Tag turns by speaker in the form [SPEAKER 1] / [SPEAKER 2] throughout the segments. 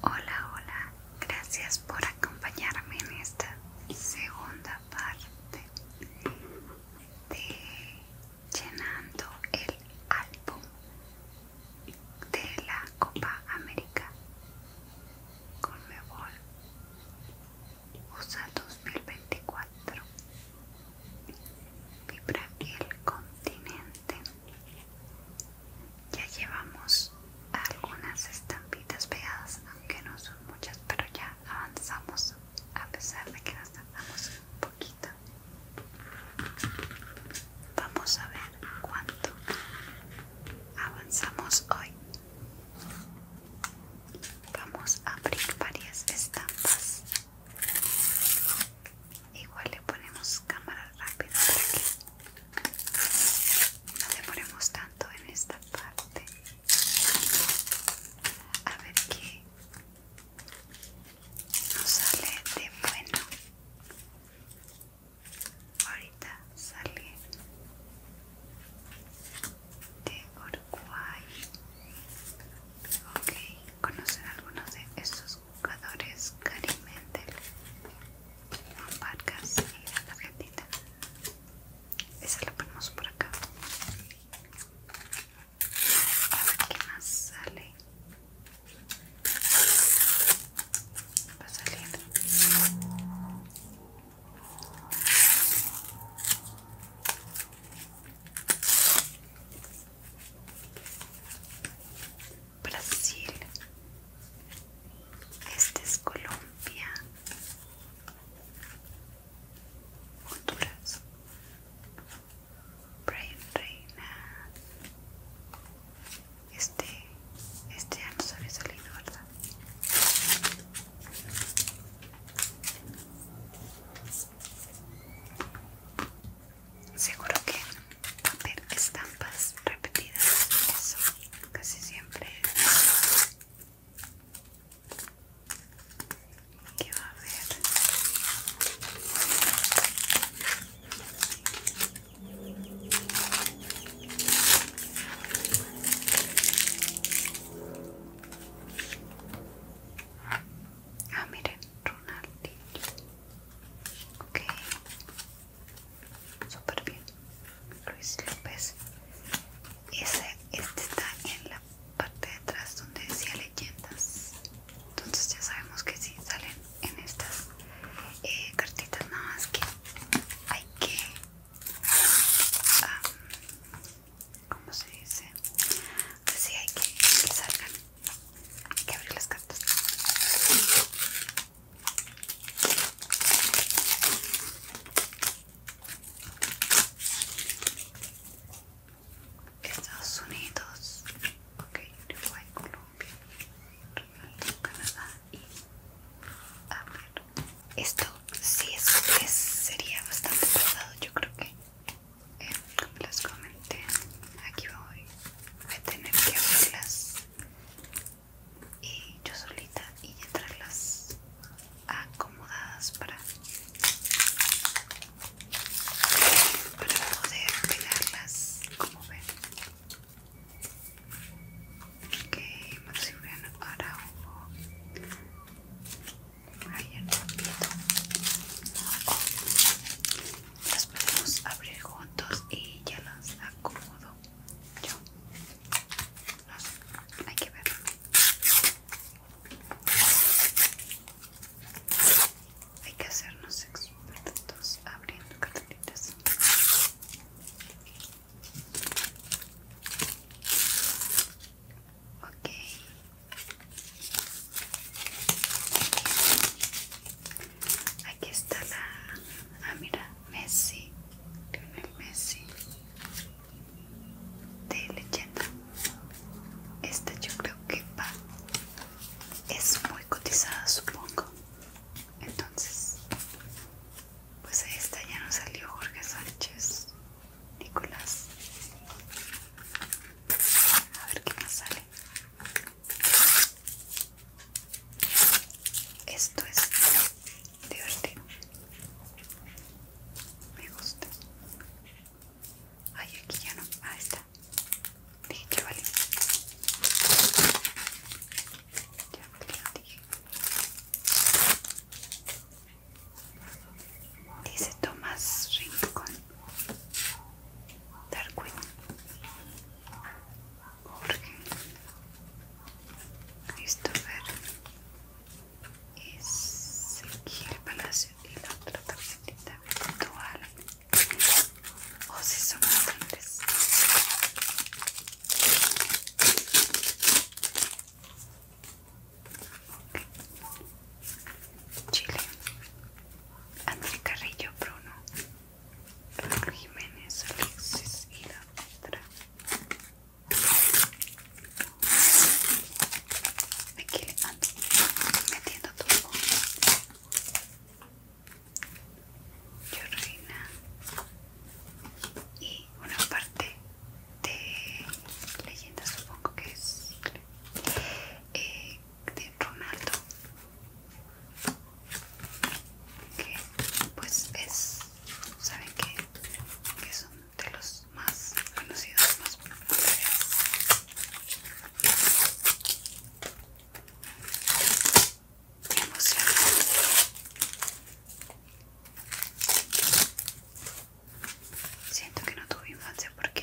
[SPEAKER 1] Hola, hola, gracias por acompañarme en esta segunda parte de llenando el álbum de la Copa América con Mebol USA 2024 Vibra el continente ya llevamos algunas estampitas pegadas, aunque no son muchas, pero ya avanzamos a pesar de que nos tardamos un poquito. Vamos a ver cuánto avanzamos hoy. Vamos a abrir varias estampas. Igual le ponemos cámara rápida no demoremos tanto en esta parte. A ver qué nos sale de bueno. Ahorita sale de Uruguay. Ok, conocen algunos de estos jugadores Karim las marcas y la tarjetita esa la ponemos por acá a ver qué más sale va saliendo salir Brasil, este es Colombia, Honduras, Brain Reina, este, este ya nos el salido, ¿verdad? Seguro que ver estampas repetidas eso casi siempre que va a haber ah miren Ronaldinho ok súper bien Luis López Ese, este está en la parte de atrás donde decía leyendas entonces ya sabemos que si salen en estas eh, cartitas nada más que hay que ¿Cómo se dice? Así hay que, que salgan. Hay que abrir las cartas. Estados Unidos, okay, Uruguay, Colombia, Canadá y a Esto sí es, es sería bastante pesado, yo creo que eh, les comenté, aquí voy, voy a tener que abrirlas y yo solita y entrarlas acomodadas para, poder pegarlas como ven ok ahora Araujo ahí el oh. las podemos abrir juntos y ya las acomodo yo. hay que ver. Hay que hacernos expertos abriendo cartelitas. Ok. Aquí está la. Ah, mira, Messi. Lionel Messi. De leyenda. Esta yo creo que va. Es muy cotizada, supongo. Entonces. Pues esta ya no salió Jorge Sánchez. Nicolás. A ver qué más sale. Esto es divertido. Me gusta. Ay, aquí ya no. Ah, está. Dije Dice Tomás Rincón Jorge Christopher el Palacio y la otra tarjetita virtual o si son grandes Chile André Carrillo Bruno Jiménez Alexis y la otra Me quedan ah, metiendo todo yo reina y una parte de leyenda supongo que es eh, de Ronaldo que pues es saben que, que son de los más conocidos más populares me Siento que no tuve infancia porque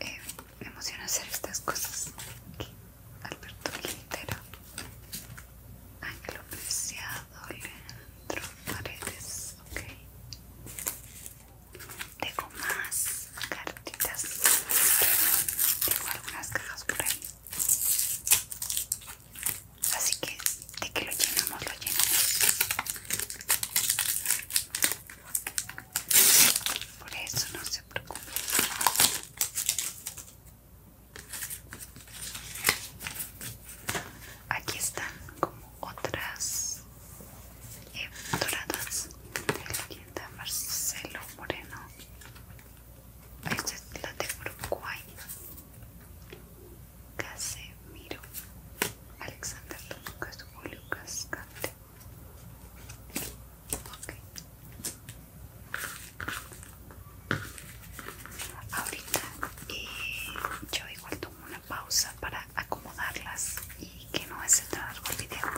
[SPEAKER 1] eh, me emociona hacer estas cosas. Alberto Quintero, Ángel Preciado, Leandro Paredes, ok. Tengo más cartitas. Tengo algunas cajas por ahí. Así que de que lo llenamos, lo llenamos. Por eso no se preocupen. Aquí están como otras eh, doradas de la tienda Marcelo Moreno. Esta es la de Uruguay. Casemiro. Alexander Lucas, Julio Ok. Ahorita eh, yo igual tomo una pausa para acomodarlas y que no se tan largo el video.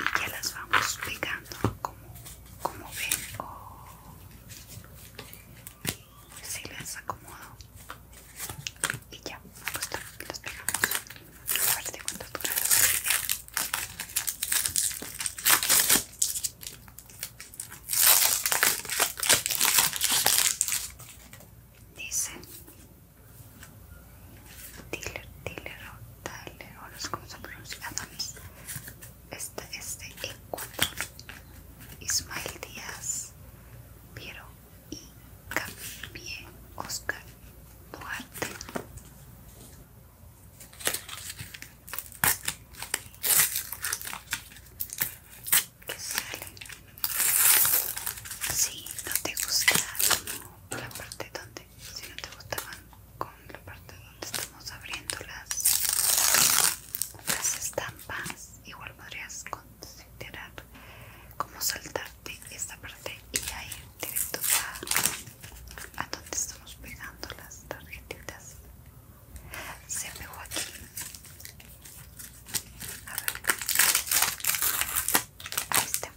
[SPEAKER 1] Y ya las vamos pegando como, ven o si las acomodo. Y ya, pues las pegamos. A cuánto el video. Dice Tiller, Tiller o Tyler, no sé cómo se pronuncia Adams. Esta es de Ecuador. Ismael Díaz, Piero y Camille Oscar Duarte que si no te gusta la parte donde si no te gustaban con la parte donde estamos abriendo las estampas igual podrías considerar como saltarte esta parte y ir directo a dónde estamos pegando las tarjetitas se pegó aquí a ver ahí está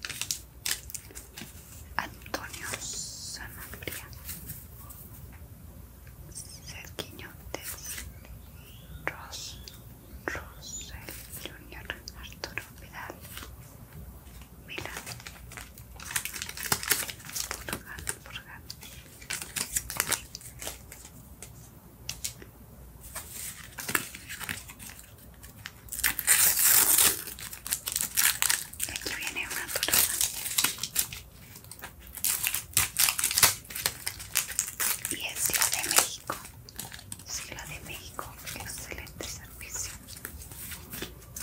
[SPEAKER 1] Antonio Sanabria Sergiño Ros Ross Rosel Junior Arturo Vidal Milán Portugal por acá. aquí viene una torada y es de México. Sí, de México, excelente servicio.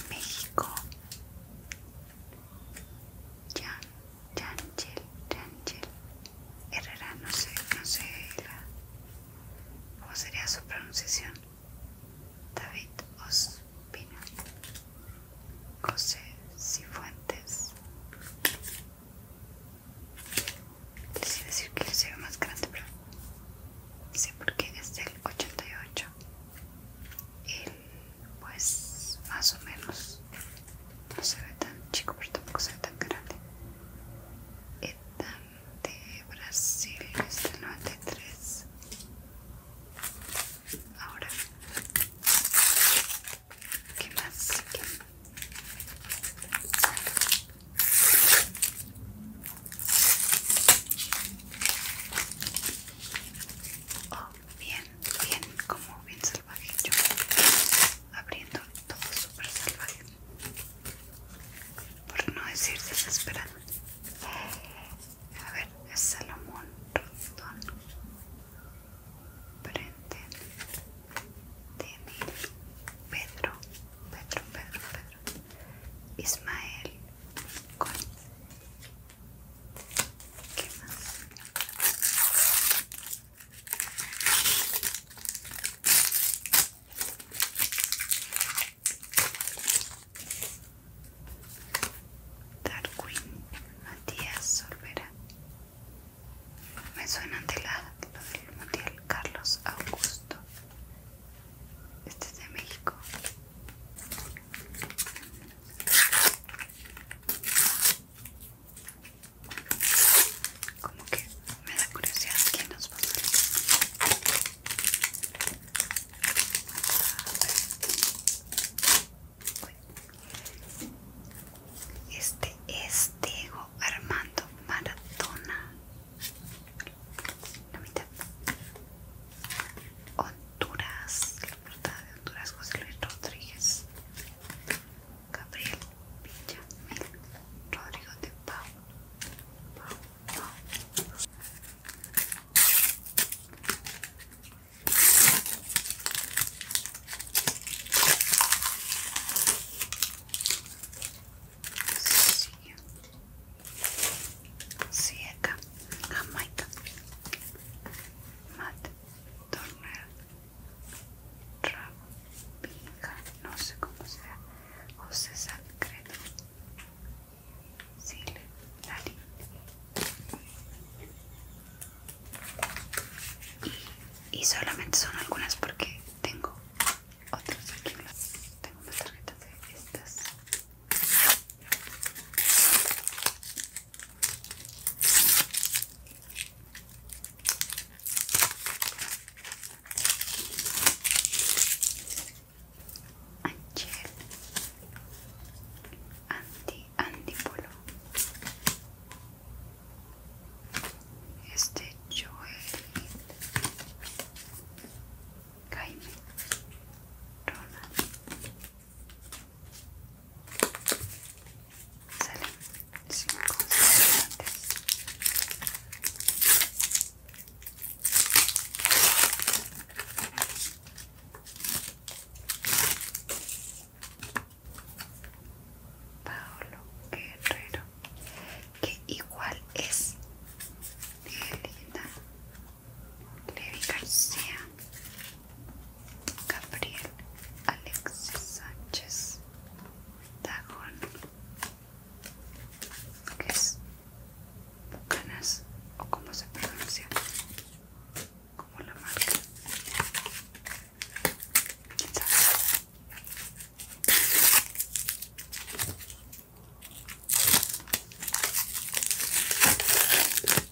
[SPEAKER 1] México Jan, Janchel, Janchel, Herrera, no sé, no sé la, cómo sería su pronunciación. David Ospina, José Cifuentes. Les iba a decir que se ve más grande, pero sé por qué, es del 88 pues más o menos no se ve tan chico pero tampoco se ve tan grande Etan de Brasil es del 93 ahora ¿qué más? ¿Qué? Oh bien, bien, como bien salvaje yo abriendo todo súper salvaje por no decir desesperado a ver, es Salomón Rondón Prenden Timmy, Pedro, Pedro, Pedro, Pedro Ismael con Darwin Matías Solvera me suena de la, del mundial Carlos Augusto este es de México como que me da curiosidad quién nos va a salir. Este es Diego Armando Maratona. Honduras, la portada de Honduras, José Luis Rodríguez, Gabriel Villamil, Rodrigo de Pau, Pau, Pau. acá, Jamaica, Matt Turner Rabinja, no sé cómo sea, o César Credo, Sile y solamente son algunas porque tengo otras aquí tengo una tarjeta de estas Angel Anti Antipolo Este Joel Jaime Ronald Salen 5 Paolo Guerrero, que igual es linda Levi García, Gabriel Alexis Sánchez Dajon que es Bucanas, o como se pronuncia, como la marca.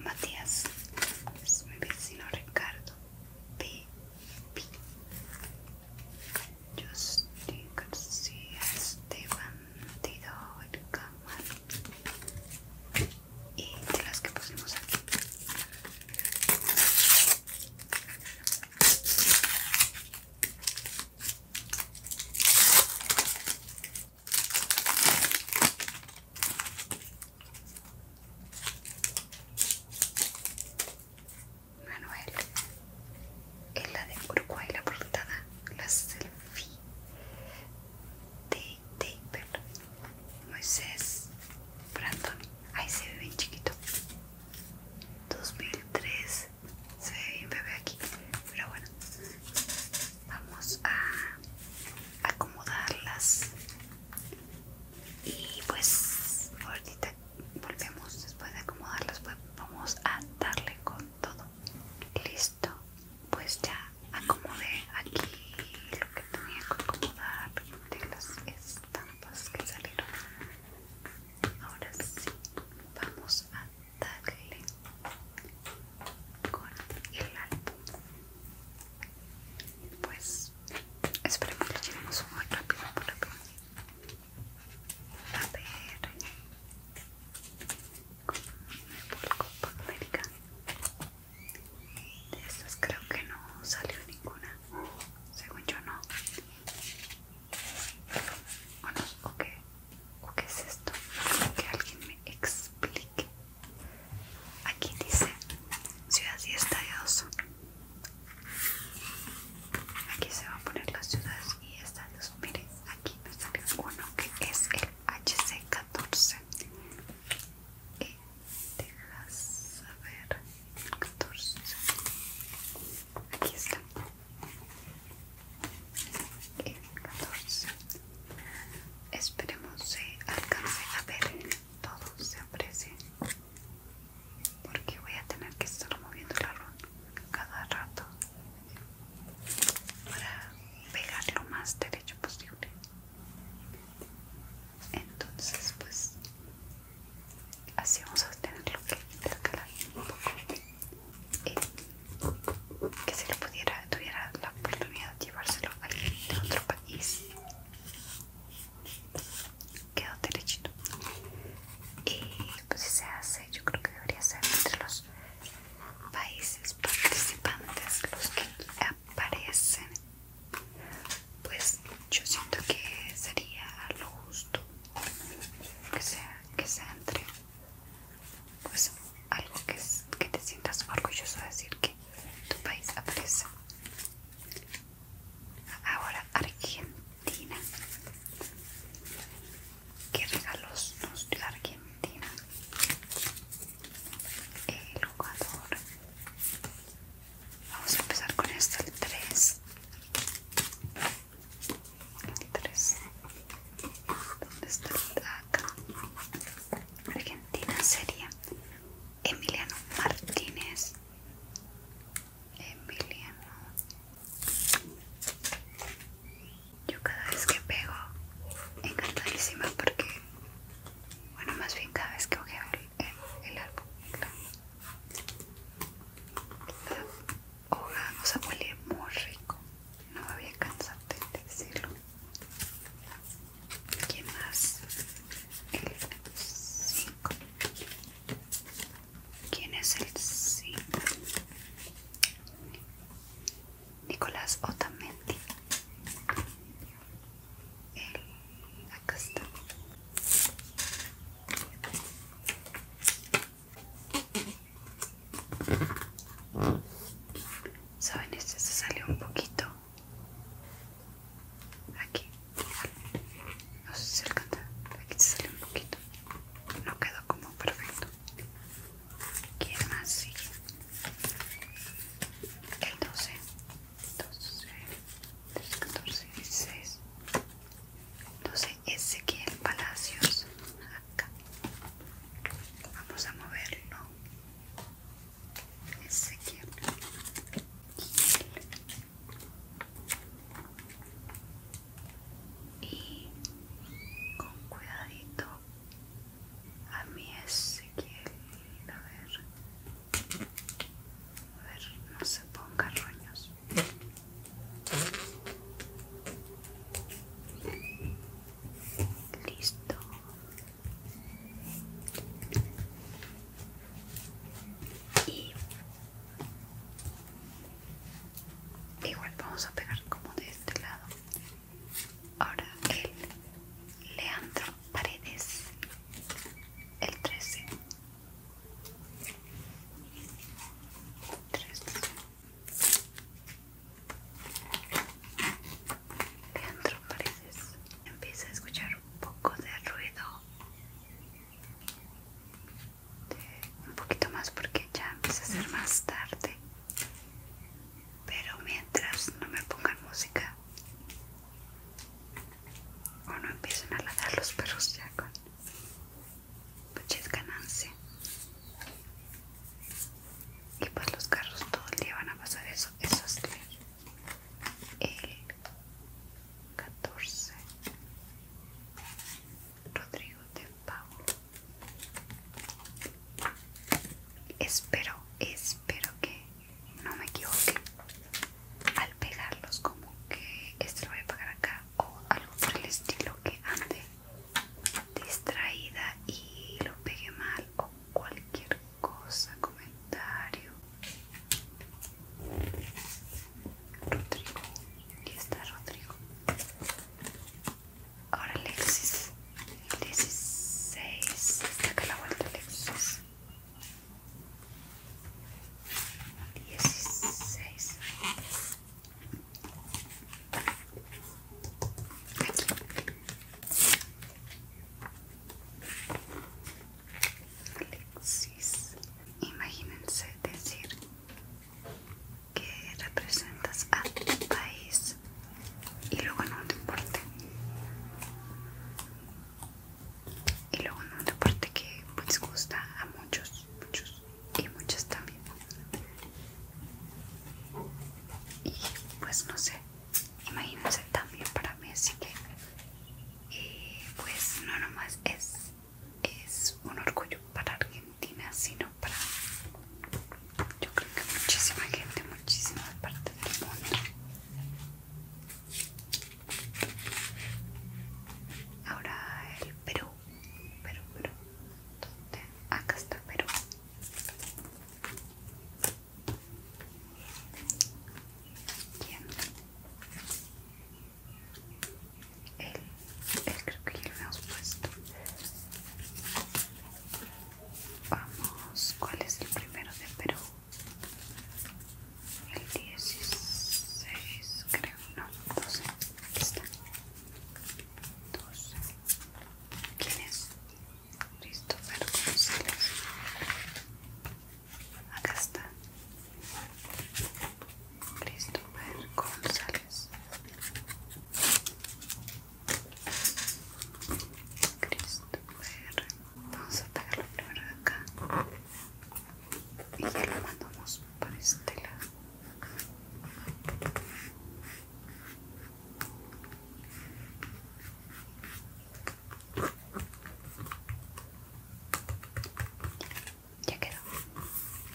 [SPEAKER 1] Matías es mi vecino Ricardo pi, Justin García Esteban Tido el Camarón y de las que pusimos aquí Manuel es la de Uruguay la portada la selfie de Taper Moisés Brandon, ahí se ve bien chiquito. 2003, se ve bien bebé aquí, pero bueno, vamos a acomodarlas. Y pues ahorita volvemos después de acomodarlas, pues, vamos a darle con todo. Listo, pues ya acomodé aquí lo que tenía que acomodar de las es las que salieron ahora sí vamos a darle con el álbum pues esperemos que lleguemos muy rápido por acá a ver como me vuelco por América de estas creo que no salió ninguna. Según yo no. ¿O, no? ¿O, qué? qué es esto? Que alguien me explique. Aquí dice ciudad y estadios. Aquí se va a poner las ciudades y estadios. Miren, aquí me salió uno que es el HC14. Dejas... a ver, 14. Aquí está. El eh, 14. Esperemos se alcance a ver todo, se aprecie. Porque voy a tener que estar moviendo la ron cada rato para pegar lo más derecho posible entonces pues así vamos a tener lo que intercalar un poco eh, que si lo pudiera tuviera la oportunidad de llevárselo a otro país quedó derechito y pues si se hace yo creo que debería ser entre los países participantes los que parecen pues yo siento que sería lo justo que sea que sea entre pues algo que, que te sientas orgulloso de decir que tu país aparece ahora Argentina qué regalos nos dio Argentina el jugador Vamos a empezar con esto el 3. ¿Dónde está acá? Argentina sería Emiliano Martínez. Emiliano. Yo cada vez que pego, encantadísima porque, bueno, más bien cada vez que ojeo el, el árbol, claro. La hoja, o sea, huele muy rico. No me voy a cansar de decirlo. ¿Quién más? El 5. ¿Quién es el 5? Nicolás Otamendi acá está saben este se salió un poquito aquí no sé si alcanza aquí se salió un poquito no quedó como perfecto ¿Quién más sí El 12 12, 13, 14, 16 entonces Ezequiel Palacios acá vamos a moverlo Ezequiel y con cuidadito a mi Ezequiel a ver a ver, no se ponga roños. Listo. Y igual vamos a pegar como de este lado. Ahora el Leandro Paredes, el 13. dentro Paredes empieza a escuchar un poco de ruido. Un poquito más porque ya empieza a ser más tarde. Pero mientras no me pongan música, o no empiecen a ladrar los perros ya con muchas ganancia y pues los carros todo el día van a pasar eso eso es el 14 Rodrigo de Pavo espero espero que no me equivoqué al pegarlos como que este lo voy a pegar acá o algo por el estilo que ande distraída y lo pegué mal o cualquier cosa comentario Rodrigo y está Rodrigo ahora Alexis 16 acá la vuelta lexis 16 Aquí. Alexis, imagínense decir que representas a tu país y luego no te importa y luego un deporte que pues gusta a muchos, muchos y muchas también y pues no sé, imagínense también para mí así que eh, pues no nomás es, es un orgullo para Argentina sino para yo creo que muchísima gente, muchísima parte del mundo Ahora el Perú, Perú, Perú. ¿Dónde? Acá está Perú. ¿Quién? Él, él creo que ya lo hemos puesto. Vamos, ¿cuál es el primero de Perú? el 16 creo, no, 12, aquí está, 12, ¿quién es? Christopher González, acá está, Christopher González, Christopher Vamos a la primero de acá y ya la mandamos para este lado. Ya quedó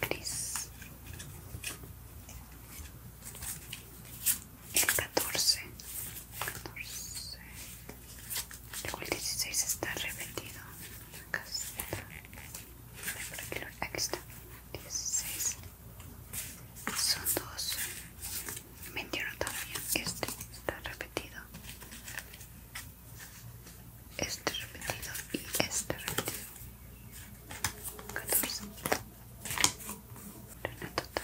[SPEAKER 1] gris. El 14, 14, Luego el 16 está repetido. Acá está. aquí, está. 16. Son dos. 21 también. Este está repetido. Este repetido y este repetido. 14. total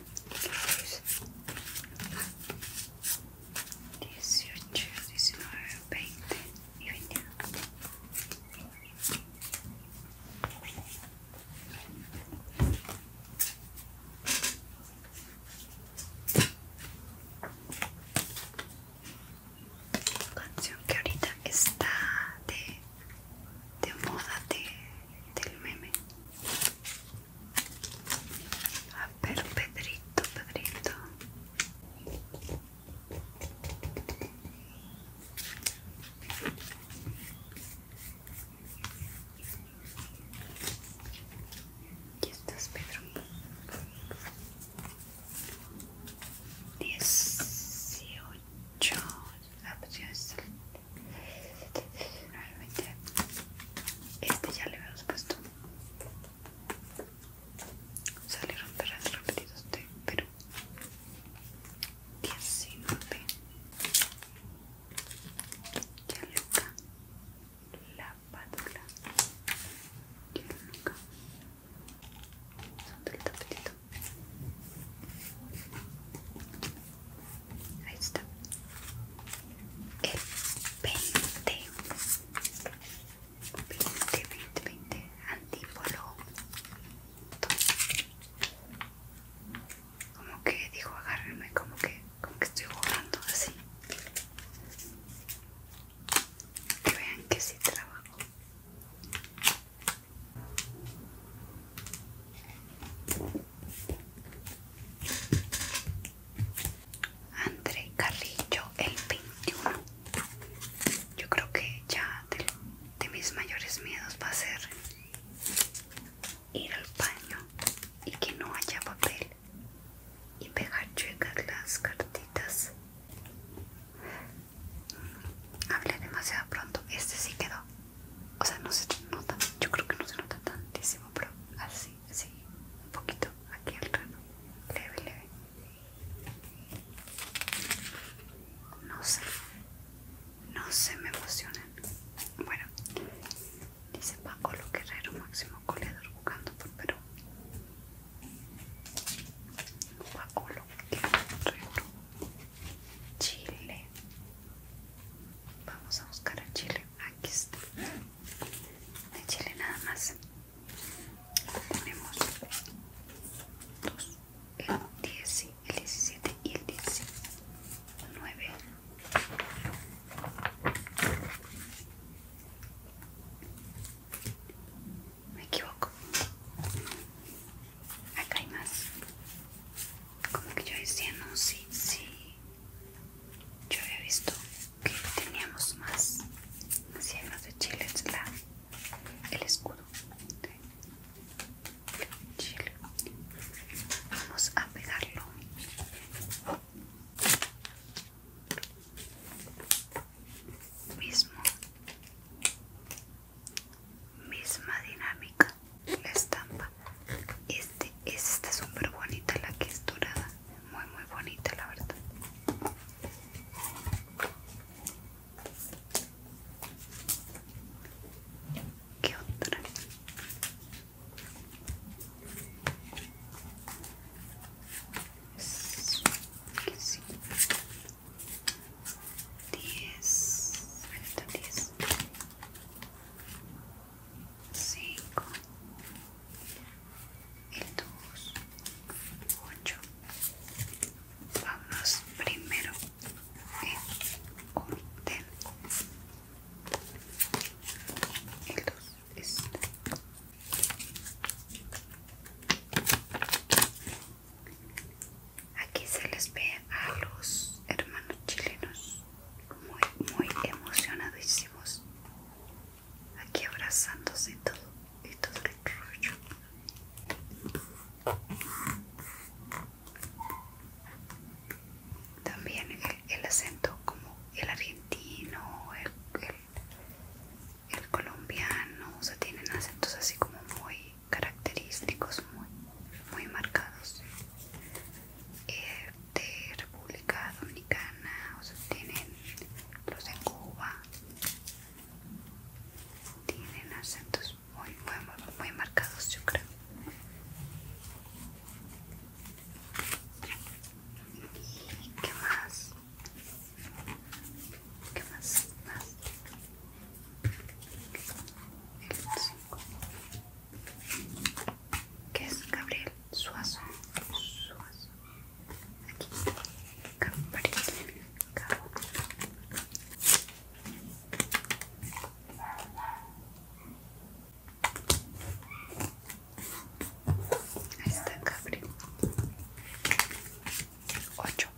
[SPEAKER 1] 18, 19, 20 y 21. Canción que ahorita está de, moda de, del meme. A ver, Pedrito, Pedrito. Aquí estás, Pedro. Dieciocho. Ah, pues Realmente este ya le hemos puesto. Salieron los repetidos de Perú. 19. Yaluca. La pátula. Yaluca. Son del tapetito. Ahí está. El 20. 20, 20, 20. Antípolo. Como que dijo agárrenme, como que, como que estoy jugando así. vean que sí trabajo. André Carrillo el 21 yo creo que ya de, mis mayores miedos va a ser ir al baño y que no haya papel y pegar chuecas las cartitas hablé demasiado pronto este sí quedó o sea no se nota yo creo que no se nota tantísimo así, así, un poquito aquí al rano, leve, leve. No sé, no sé, me emocionan. Bueno, dice Paco lo guerrero, máximo colador jugando por Perú. Paco lo guerrero, Chile. Vamos a buscar el chile. Aquí está. El chile nada más. Tenemos El 10, el 17 y el diecinueve. Me equivoco. Acá hay más. Como que yo decía, no, sí, sí. Yo había visto que teníamos más. cienos de Chile, el escudo. Chile. Vamos a pegarlo. Mismo, misma dinámica, la estampa. Este, esta es súper bonita, la que es dorada. Muy, muy bonita, la verdad. ¿Qué otra? 5 el dos ocho vamos primero en orden el dos Aquí se les ve a los hermanos chilenos muy, muy emocionadísimos aquí abrazándose y todo esto rollo también el, acento como el argentino el, el colombiano o sea tienen acentos así como muy característicos muy muy marcados eh, de República Dominicana, o sea, tienen los de Cuba, tienen acentos muy, muy, muy marcados, yo creo. ¿Y qué más? ¿Qué más? ¿Qué es Gabriel Suazo, Suazo. Aquí. Gabriel Ahí está Gabriel Ocho,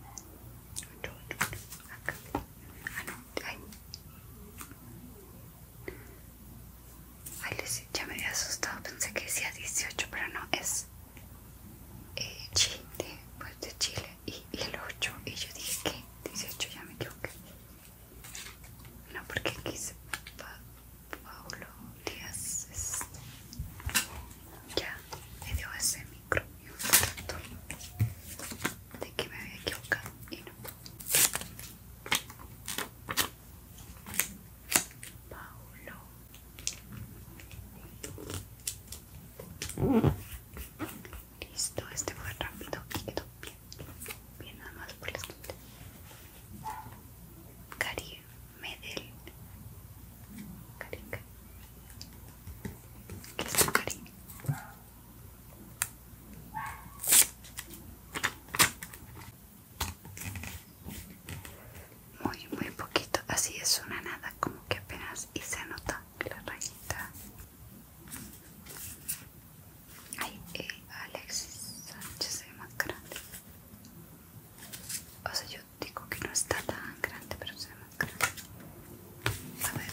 [SPEAKER 1] ocho, acá. Ah, no, ahí. Ay, les, ya me había asustado, pensé que decía 18, pero no, es eh, Chile, pues de Chile y, el 8. Y yo dije que 18, ya me equivoqué. No, porque aquí se Paulo Díaz este, Ya me dio ese micro y un tanto de que me había equivocado y no. Paulo. Listo, este fue rápido y quedó bien. Bien, nada más por la gente. Cari Medel. Carica. ¿Qué es Cari? Muy, muy poquito. Así es una nada, como que apenas y se nota la rayita. Ay, eh, Alexis Sánchez ve más grande. O sea, yo digo que no está tan grande, pero se ve más grande. A ver.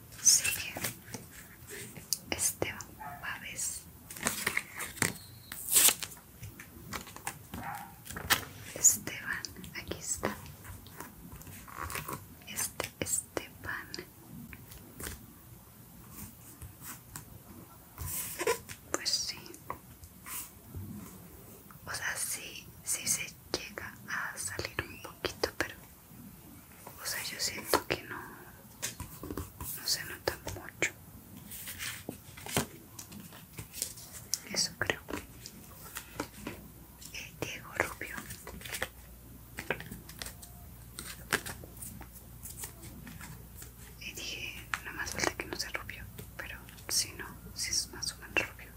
[SPEAKER 1] sigue este Esteban Esteban, aquí está Este Esteban Pues sí O sea, sí, sí se llega a salir un poquito, pero o sea, yo siento que no, no se nota mucho. Eso creo. Eh, Diego Rubio. Y dije, nada más falta que no sea rubio, pero si no, si es más o menos rubio.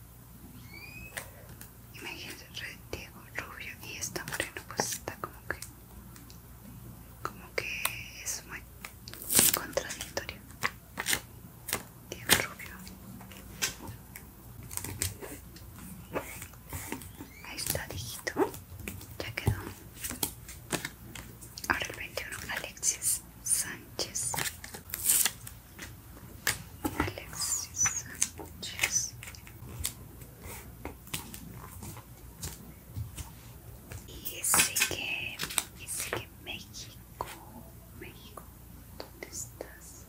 [SPEAKER 1] dije Diego rubio y está moreno, pues está como que como que es muy contradictorio bien rubio ahí está dijito ya quedó ahora el 21 Alexis Sánchez Alexis Sánchez y que, y que México, México, ¿dónde estás?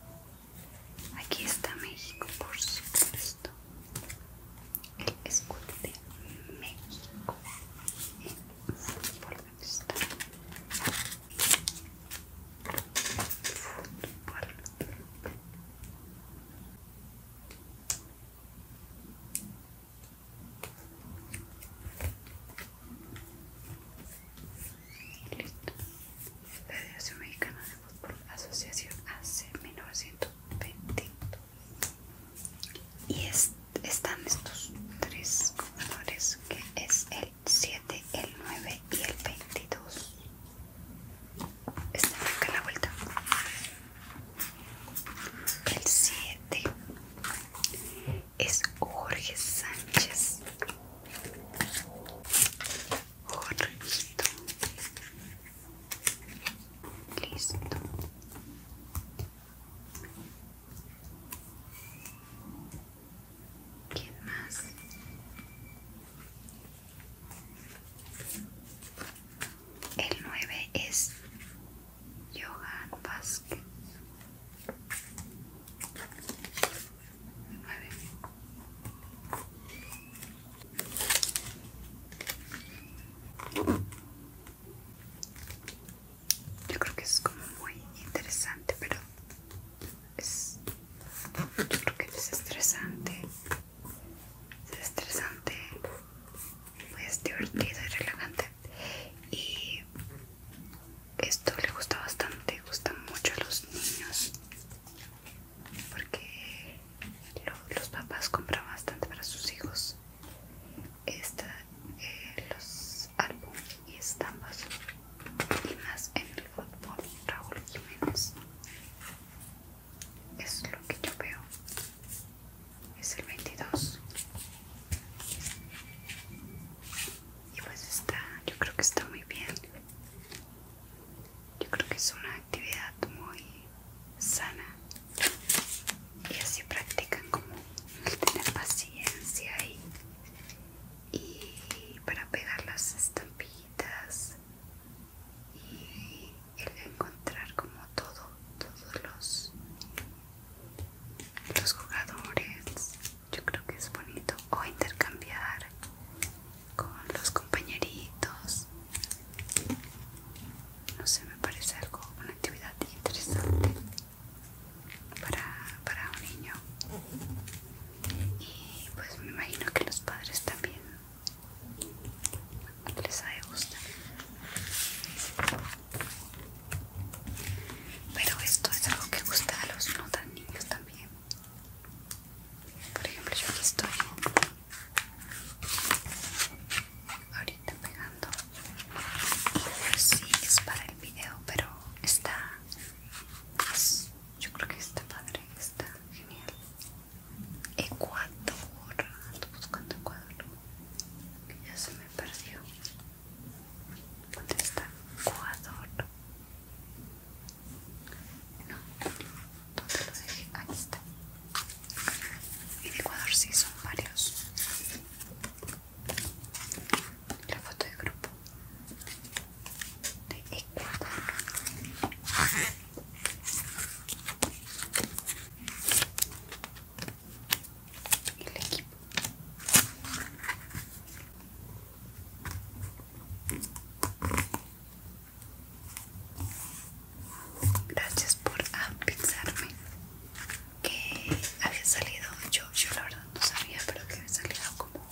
[SPEAKER 1] Aquí está México, por supuesto. El escudo de México. Fútbol, dónde está? Fútbol. Listo. Federación Mexicana de Fútbol, Asociación AC 1920. Y están estos tres colores que es el 7, el 9 y el 22 está acá la vuelta el 7 es Jorge Sánchez listo más? El 9 es yoga Vázquez. Yo creo que es como muy interesante, pero es yo creo que es estresante es estresante, pues divertido y relajante. Y esto le gusta bastante, le gusta mucho a los niños porque los papás compran bastante para sus hijos eh, los álbumes y estampas y más en el fútbol Raúl Jiménez es lo que yo veo es el 22 y pues está yo creo que está muy bien yo creo que es una actividad muy sana y así practican como tener paciencia y, y para pegar las estampitas y el encontrar como todo, todos los, los jugadores, yo creo que es bonito, o intercambiar con los compañeritos, no sé, me parece algo, una actividad interesante para, para un niño. Y pues me imagino que los padres también les de pero esto es algo que gusta a los no tan niños también por ejemplo yo aquí estoy ahorita pegando y sí es para el video pero está más yo creo que está padre está genial. Ecuador, ando buscando Ecuador, que ya se me perdió. ¿Dónde está Ecuador? No, ¿dónde lo dejé? Aquí está. En Ecuador sí son varios. La foto de grupo de Ecuador el equipo gracias por avisarme que había salido yo yo la verdad no sabía pero que había salido como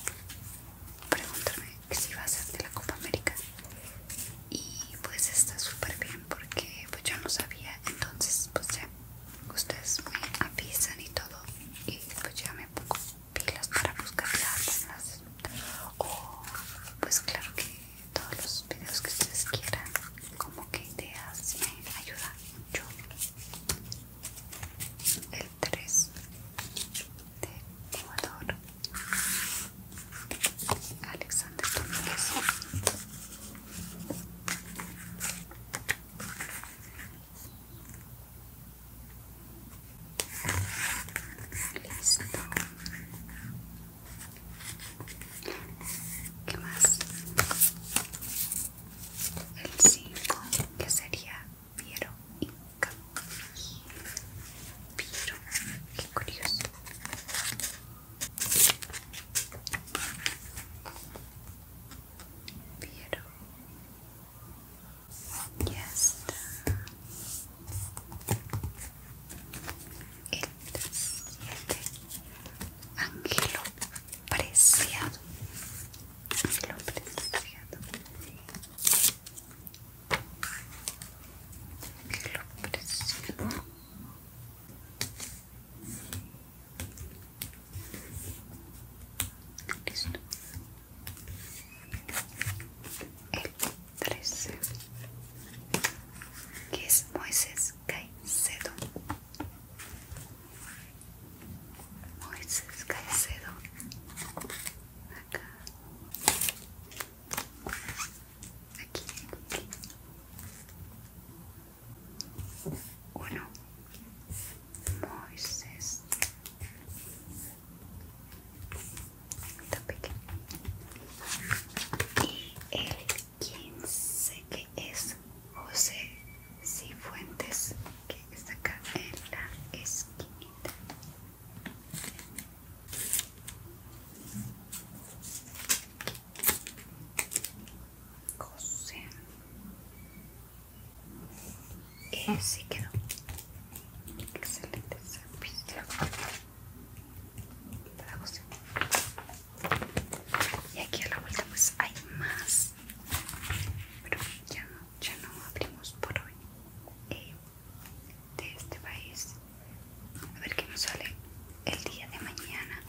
[SPEAKER 1] preguntarme que si iba a ser de la Copa América y pues está súper bien porque pues yo no sabía entonces pues ya ustedes me avisan y todo y pues ya me pongo pilas para buscar las o pues claro que todos los videos que ustedes quieran como que ideas me ayudan mucho el 3 de Ecuador Alexander Domínguez Listo ¿Qué más? El 5 que sería Piero Inca Piero, qué curioso pero ya está. El siguiente ángelo preciado. Ángelo preciado. ángel preciado. Listo. El que es Moisés Caicedo. Moisés Caicedo aquí uno Moisés y el sé que es José Cifuentes que está acá en la esquinita José. Ese eh, ah. quedó. Excelente servicio. Para José. Y aquí a la vuelta pues hay más. Pero ya no, ya no abrimos por hoy. Eh, de este país. A ver qué nos sale el día de mañana.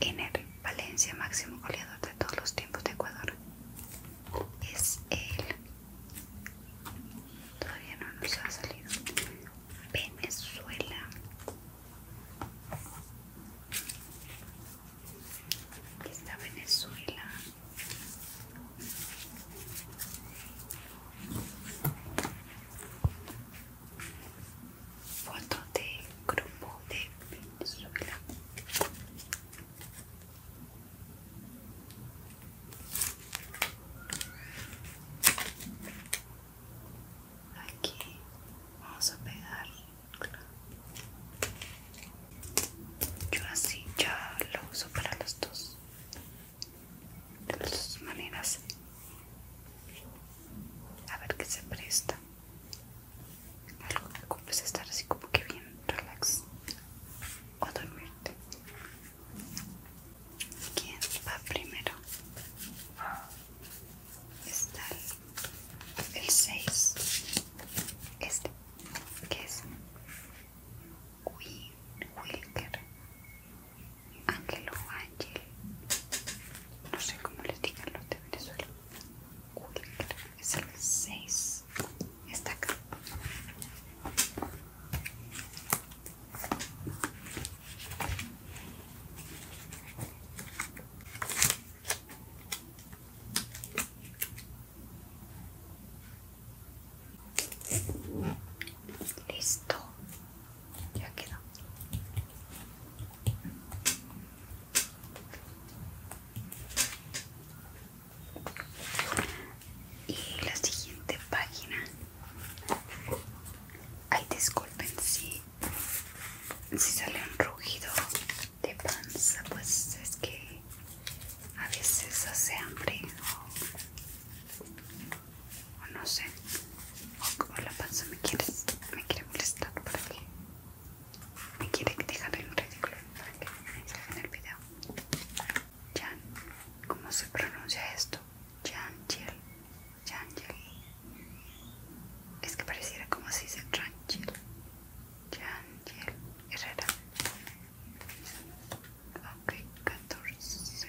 [SPEAKER 1] en el Valencia, máximo goleador de todos los tiempos de Ecuador. Es el Todavía no nos ha salido. Venezuela. está Venezuela. Foto de grupo de Venezuela. Aquí vamos a pegar. Yo así ya lo uso para los dos de las maneras a ver qué se presta algo que compres estar así como que bien relax o dormirte quién va primero está el 6 este que es Wilker Ángel o Ángel, no sé cómo les digan los de Venezuela, es el 6, está acá. Listo, ya quedó. Y la siguiente página. Ay, disculpen si, si sale un rugido de panza, pues es que a veces hace hambre o no sé o la panza me quiere me quiere molestar para que me quiere dejar en ridículo para que en el video Jan ¿cómo se pronuncia esto? Jan Jill es que pareciera como si se rangel Jan Jill Herrera ok 14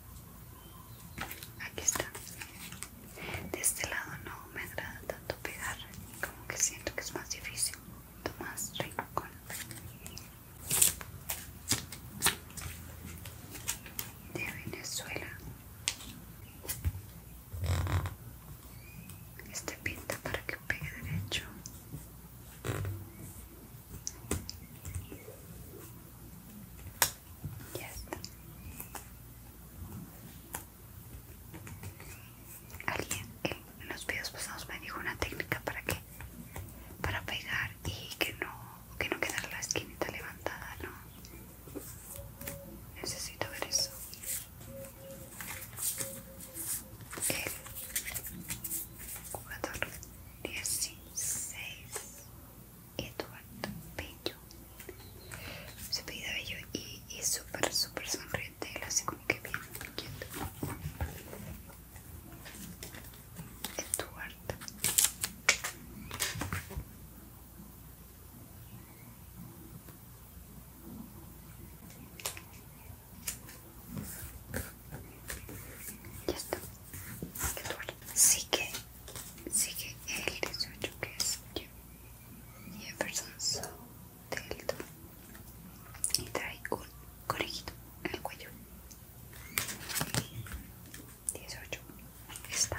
[SPEAKER 1] Aquí está. De este lado no me agrada tanto pegar, como que siento que es más difícil. Tomás Rincón. De Venezuela. Este pinta para que pegue derecho. Ya está. Alguien en los videos pasados me dijo una técnica para que para pegar y que no que no quedara la esquinita levantada, ¿no? Necesito ver eso. El jugador 16 Eduardo Bello. Se pide Bello y es súper, súper sonriente. Lo hace como que bien quieto. Eduardo. Ya está. Eduardo. Sí que Sigue el 18 que es Jefferson Delto y trae un conejito en el cuello. 18 está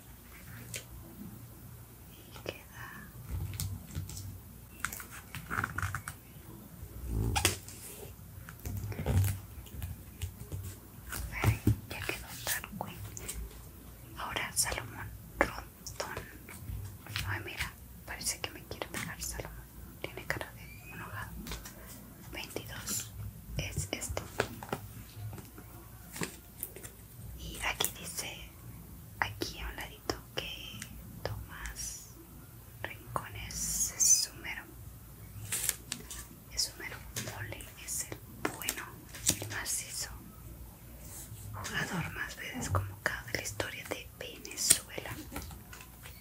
[SPEAKER 1] queda ya quedó tranquilo ahora Salomón Rondón ay mira parece que me quiere pegar Salomón tiene cara de enojado 22 es esto y aquí dice aquí a un ladito que Tomás Rincones es sumero es sumero mole es el bueno el macizo jugador más veces convocado de la historia de Venezuela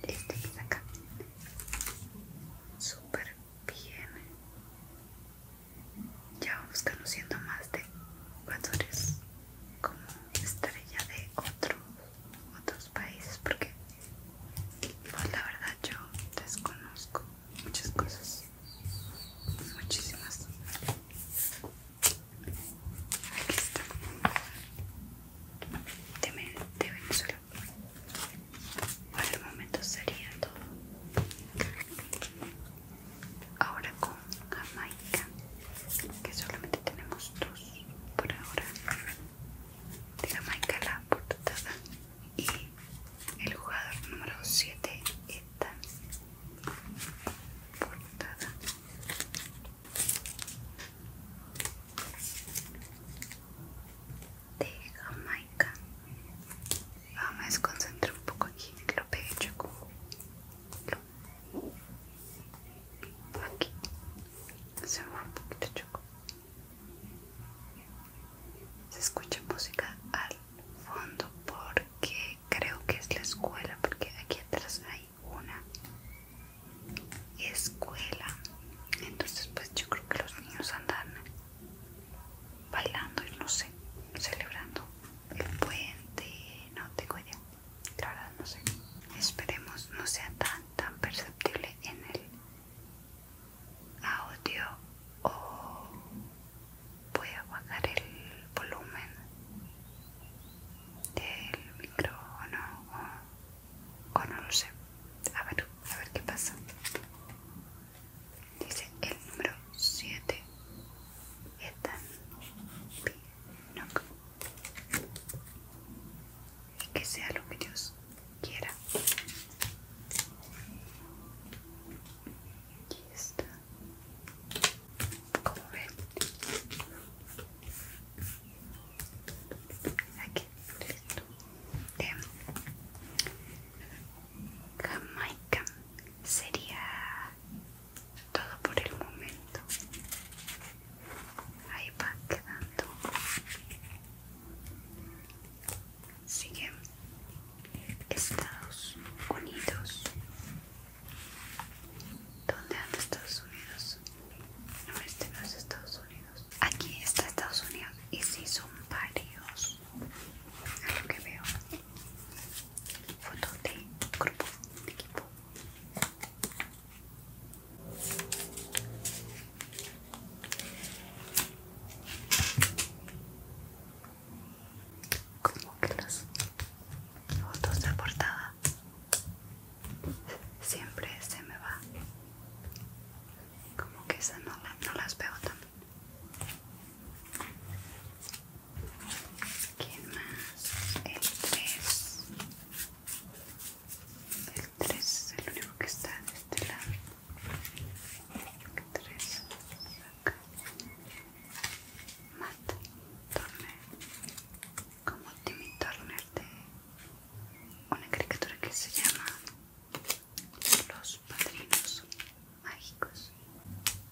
[SPEAKER 1] este está acá super bien ya vamos conociendo más de jugadores como estrella de otro, otros países porque pues la verdad yo desconozco muchas cosas muchísimas aquí está de, Venezuela para el momento sería todo ahora con jamaica que solamente tenemos dos por ahora de jamaica la portada y el jugador número 7 esta portada de Jamaica. Vamos a desconcentrar un poco aquí. Lo pegue choco. Aquí se me un poquito Se escucha música al fondo porque creo que es la escuela, porque aquí atrás hay una escuela. Entonces pues yo creo que los niños andan bailando y no sé, celebrando el puente, no tengo idea, claro no sé. Esperemos no sea tan tan perceptible en el audio o voy a bajar el volumen del micrófono o, o no lo sé. A ver, a ver qué pasa. Dice el número 7 Ethan Pinnock y que sea lo que Dios quiera. Aquí está. Como ven, aquí listo. De em, Jamaica sería todo por el momento ahí va quedando sigue Estados Unidos ¿Dónde anda Estados Unidos? No, este no es Estados Unidos Aquí está Estados Unidos Y si son varios es lo que veo foto de grupo, de equipo. Como que las fotos de portada siempre se me va. Como que esas no, no las veo también. ¿Quién más? El 3. El 3 es el único que está de este lado. El 3. Acá. Mata. Como Timmy Turner de una caricatura que se llama Los Padrinos Mágicos.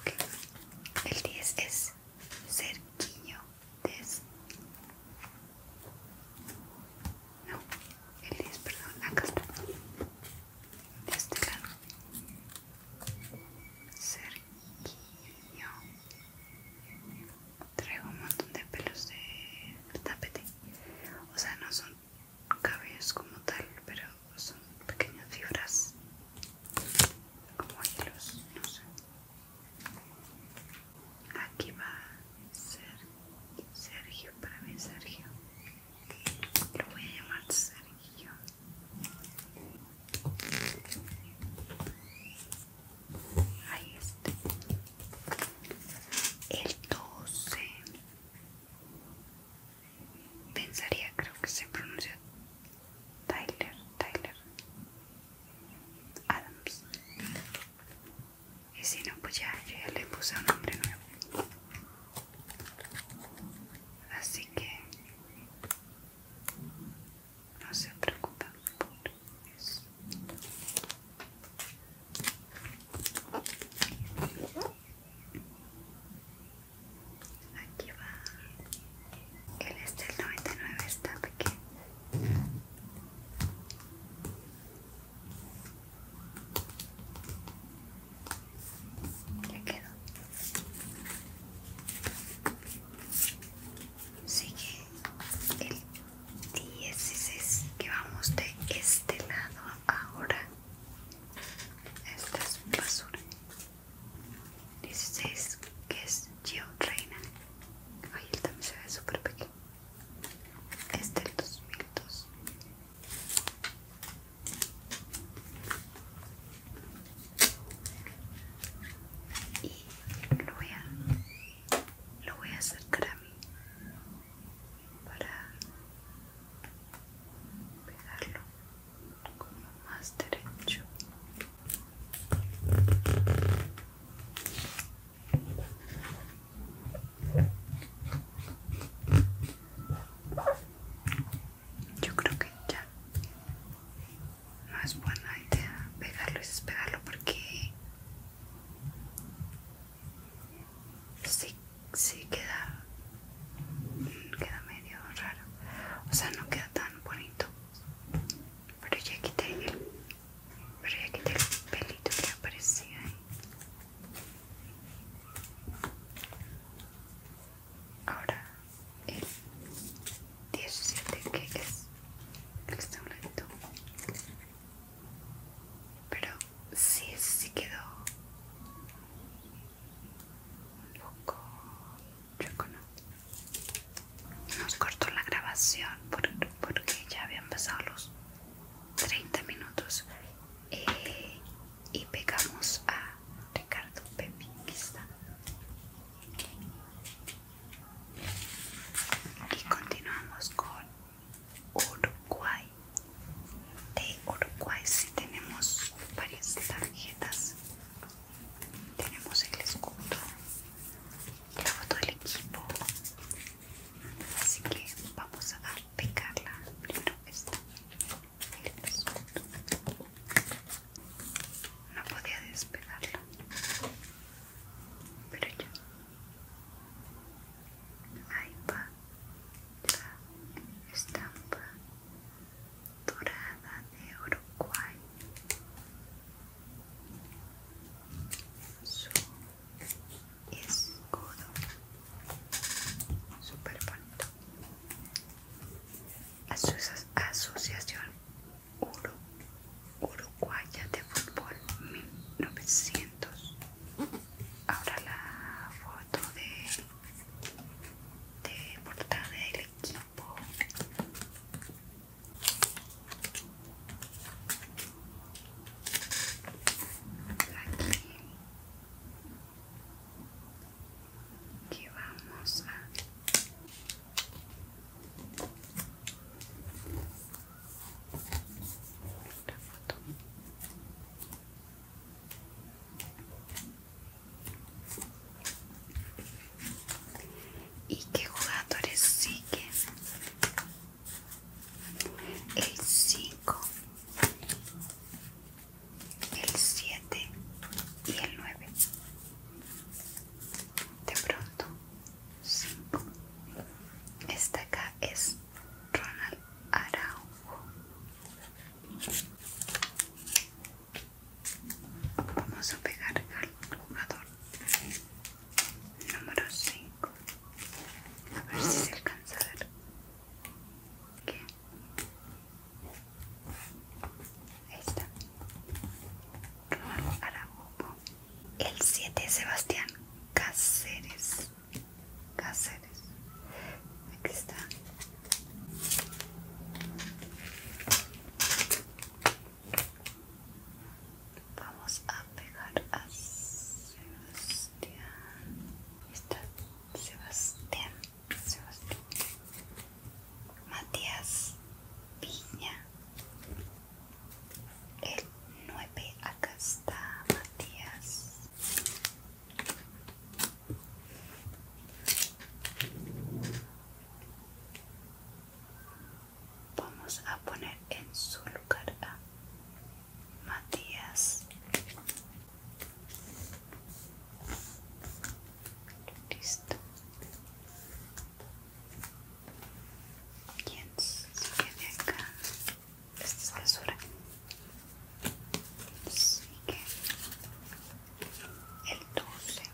[SPEAKER 1] Okay. El 10 es cerquillo. No, el 10, perdón, acá está. De este lado. Cerquillo. Traigo un montón de pelos de tapete. O sea, no son cabellos como tal, pero son pequeñas fibras como hilos, no sé. Aquí va ser Sergio, para mí Sergio. Lo voy a llamar Sergio. Ahí está. El 12. Pensaría, creo que se pronuncia Tyler, Tyler Adams. Y si no, pues ya, le puse un nombre nuevo. Así que no se preocupen por eso. Aquí va. El este el 99 está pequeño. Ya quedó. Sigue el 16 que vamos de este lado ahora. Esta es basura. 16 que es Gio Reina. Ay, el también se ve súper pequeño. Es del 2002. Y lo voy a, lo voy a acercar a mí para pegarlo más derecho yo creo que ya no es buena idea pegarlo y despegarlo porque si, si queda, queda medio raro, o sea no queda tan bonito pero ya quité el, pelito que aparecía ahí. Ahora el 17 que es el está Pero sí, ese sí quedó poco Nos cortó la grabación porque ya habían pasado los 30 minutos eh, y pegamos a Ricardo Pepin que está. Y continuamos con Uruguay. De Uruguay si, tenemos varias tarjetas tenemos el escudo y la todo el equipo así que vamos a pegarla primero esta el escudo no podía despegarla pero ya ahí va la estampa dorada de Uruguay su escudo super bonito asociación uruguaya de fútbol 1900 ahora la foto de de portada del equipo Aquí vamos a ¿Y qué jugadores siguen? El 5, el 7 y el 9. De pronto, 5. Esta acá es Ronald Araujo. Vamos a pegar al jugador número 5. A ver si se alcanza a ver. ¿Qué? Ahí está. El 7 Sebastián Cáceres. Cáceres. Aquí está. Vamos a pegar a Sebastián. Está Sebastián. Sebastián. Matías Piña. El 9. Acá está Matías. Vamos a poner en su lugar a Matías. Listo. Bien, sigue de acá. Esta es basura. Sigue el 12.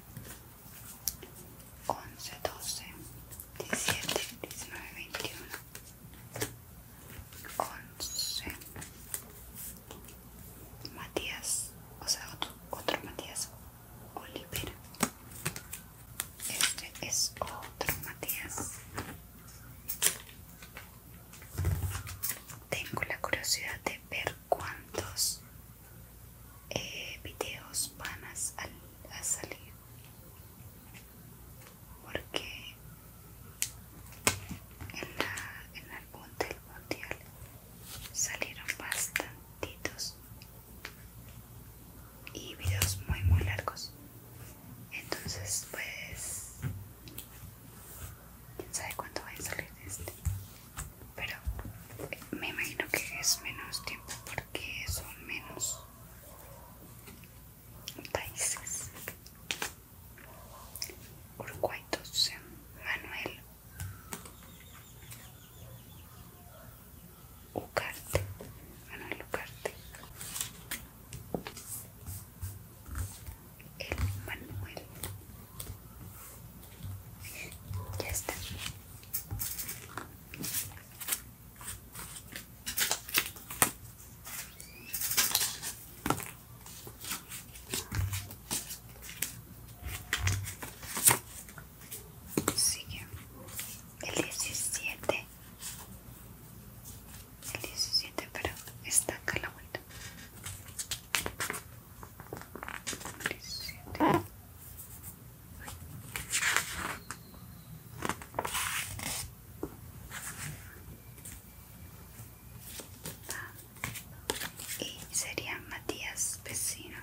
[SPEAKER 1] 11, 12, 17, 19, 21 11 Matías, o sea otro, otro Matías Oliver Este es otro Matías Tengo la curiosidad de ver cuántos vídeos eh, videos van a, salir porque en, la, del mundial salieron bastantitos y videos muy muy largos entonces pues quién sabe cuándo va a salir este pero me imagino que es menos tiempo porque son menos países. Uruguay 12, Manuel Ucarte, Manuel Ucarte. El Manuel ya está. Sigue el 17. El 17, pero está acá la vuelta. Y sería Matías Vecino.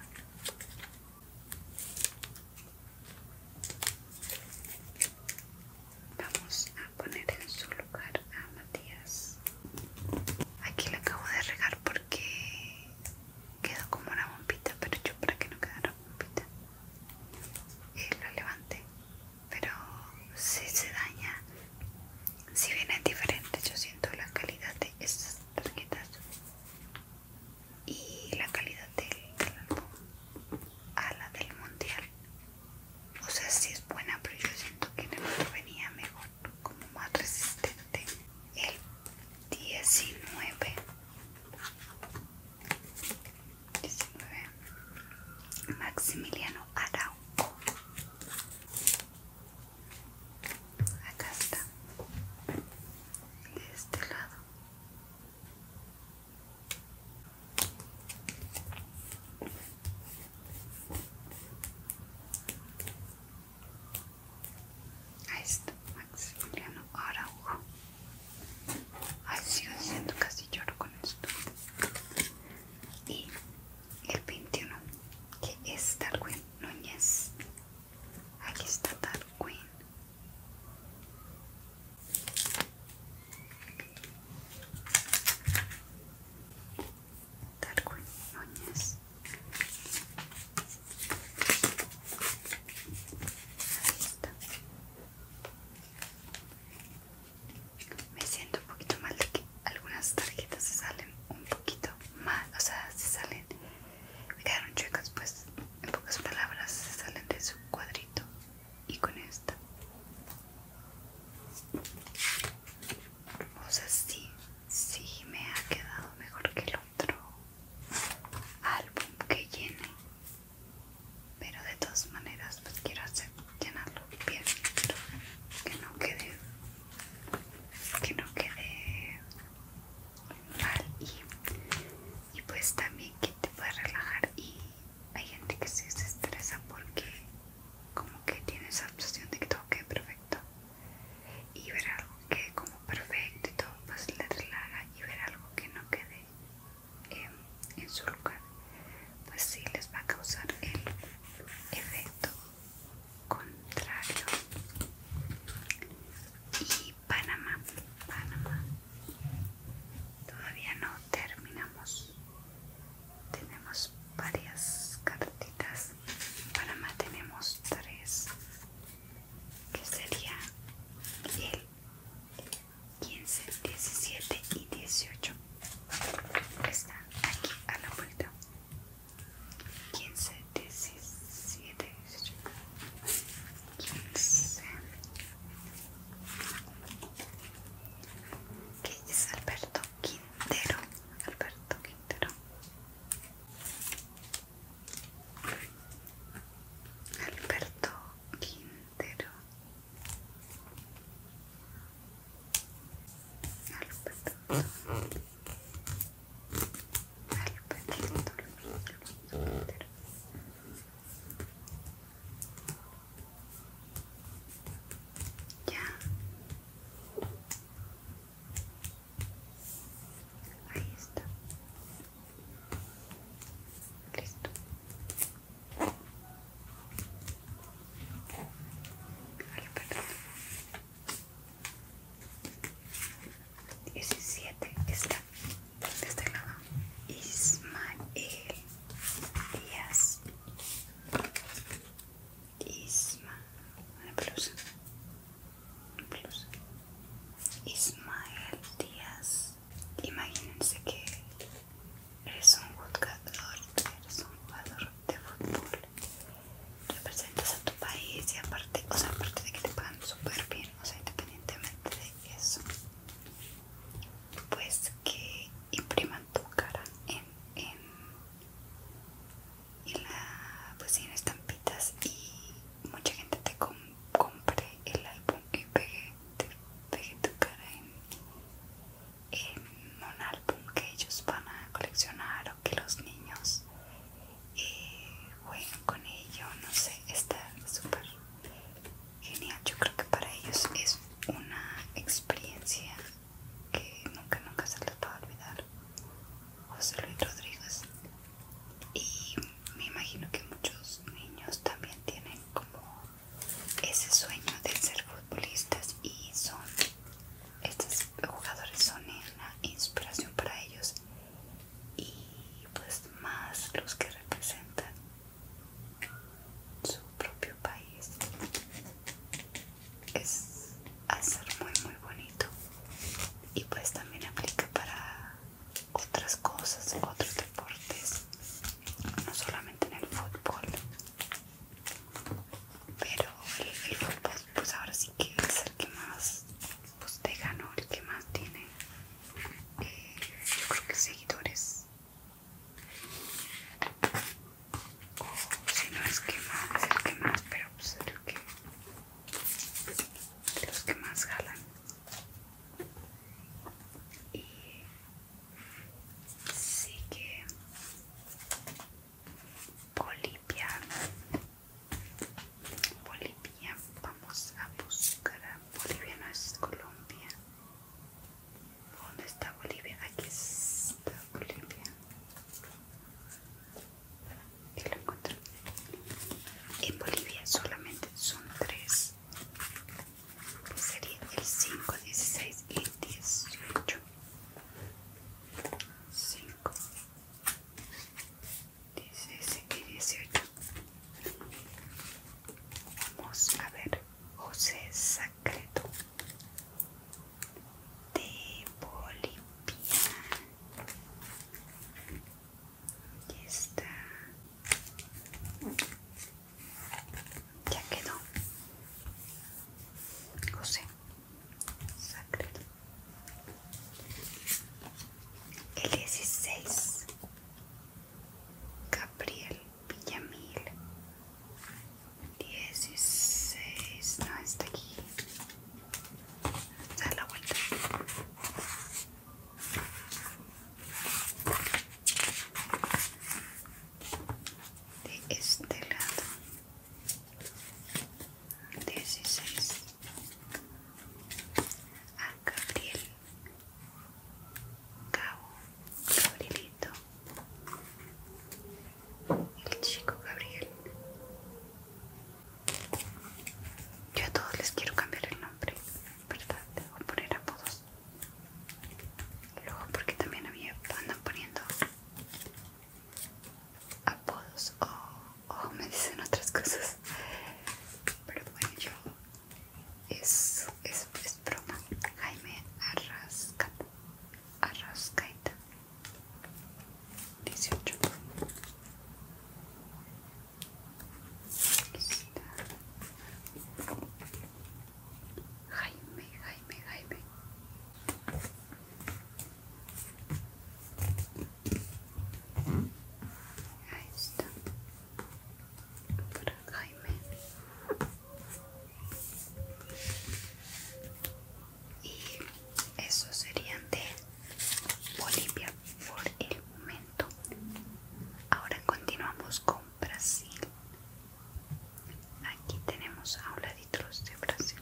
[SPEAKER 1] Vamos a poner en su lugar a Matías. Aquí le acabo de regar por que quedó como una bombita, pero yo para que no una bombita la eh, lo pero si se daña, si viene diferente, yo siento la calidad de estas tarjetas y la calidad del, álbum a la del mundial. O sea, si es buena, pero yo siento que en el otro venía mejor como más resistente. El 19. 19. Maximiliano Arauco. Acá está. De este lado. Ahí está, Maximiliano Araujo. Ay, sigo siendo casi lloro con esto. Y el 21, que es Darwin Núñez. Aquí está Darwin. Darwin Núñez. Ahí está. Me siento un poquito mal de que algunas tarjetas se salen un poquito mal, o sea, se salen, me quedaron chuecas, pues en pocas palabras se salen de su cuadrito y con esta. O sea, sí, Sí, me ha quedado mejor que el otro álbum que llené. Pero de todas maneras, pues quiero hacer, llenarlo bien. que no quede. Que no quede mal. Y, y pues también que te pueda relajar. Y hay gente que se estresa porque como que tiene esa obsesión de que todo quede perfecto y ver algo que como perfecto y todo pues le relaja y ver algo que no quede en su lugar pues sí les va a causar el efecto contrario y Panamá Panamá todavía no terminamos tenemos varias cartitas Panamá tenemos tres, que sería el 15, 17 y 18. Están aquí a la vuelta. 15, 17, 18. 15. Que es Alberto Quintero. Alberto Quintero. Alberto Quintero Alberto Alberto Quintero ya Ahí está. Listo. Ay, perdón. 17 está está el lado. Ismael Díaz. Isma. Una pelusa incluso Ismael Díaz imagínense que eres un jugador eres un jugador de fútbol representas a tu país y aparte aparte de que te pagan súper bien o sea independientemente de eso pues que impriman tu cara en y la pusieron estampitas y mucha gente te compre el álbum y pegué, tu cara en, un álbum que ellos van a coleccionar o que los niños eh, jueguen con ello, no sé, está súper genial, yo creo que para ellos es una experiencia que nunca nunca se les va a olvidar José Luis Rodríguez y me imagino que muchos niños también tienen como ese sueño de ser futbolistas y son estos jugadores son una inspiración para ellos y pues más los que representan su propio país es hacer muy muy bonito y pues también aplica para otras cosas otros deportes no solamente en el fútbol pero el, fútbol pues ahora sí que es el que más pues te ganó el que más tiene eh, yo creo que seguidores o si no es que más es el que más pero pues el que los que más jalan y sí que Bolivia Bolivia vamos a buscar a Bolivia no es Colombia ¿Dónde está Bolivia? Aquí está Bolivia y lo encuentran. En Bolivia solamente son tres. Pues sería el 5, 16 y 18. 5, 16 y 18. Vamos a ver José Sacreto de Bolivia. Aquí está. Ya quedó. José. Sacre. El 16. Gabriel Villamil. 16. No, está aquí la vuelta de este lado 16 a Gabriel Cabo Gabrielito el chico Gabriel yo a todos les quiero cambiar el nombre, ¿verdad? O poner apodos. Luego, porque también a mí andan poniendo apodos o, me dicen otras cosas. Pero bueno, yo. Es, es, es broma. Jaime Arrascaita. Arrascaita. 18 Aquí está. Jaime, Jaime, Jaime Ahí está Para Jaime y esos serían de Bolivia por el momento ahora continuamos con Brasil aquí tenemos a de Brasil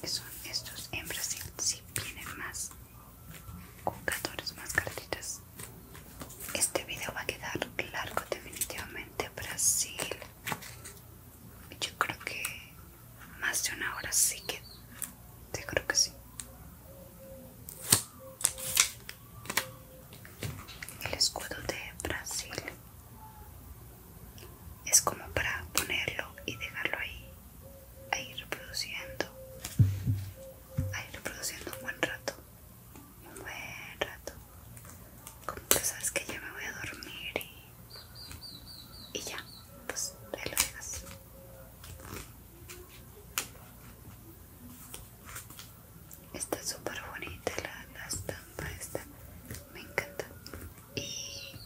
[SPEAKER 1] que son estos en Brasil si vienen más 14 más cartitas este video va a quedar largo definitivamente Brasil yo creo que más de una hora sí que te creo que sí el escudo de Brasil es como para ponerlo y dejarlo ahí ahí reproduciendo ahí reproduciendo un buen rato un buen rato como que sabes que ya me voy a dormir y y ya, pues te lo Está súper bonita la, estampa esta, me encanta. Y,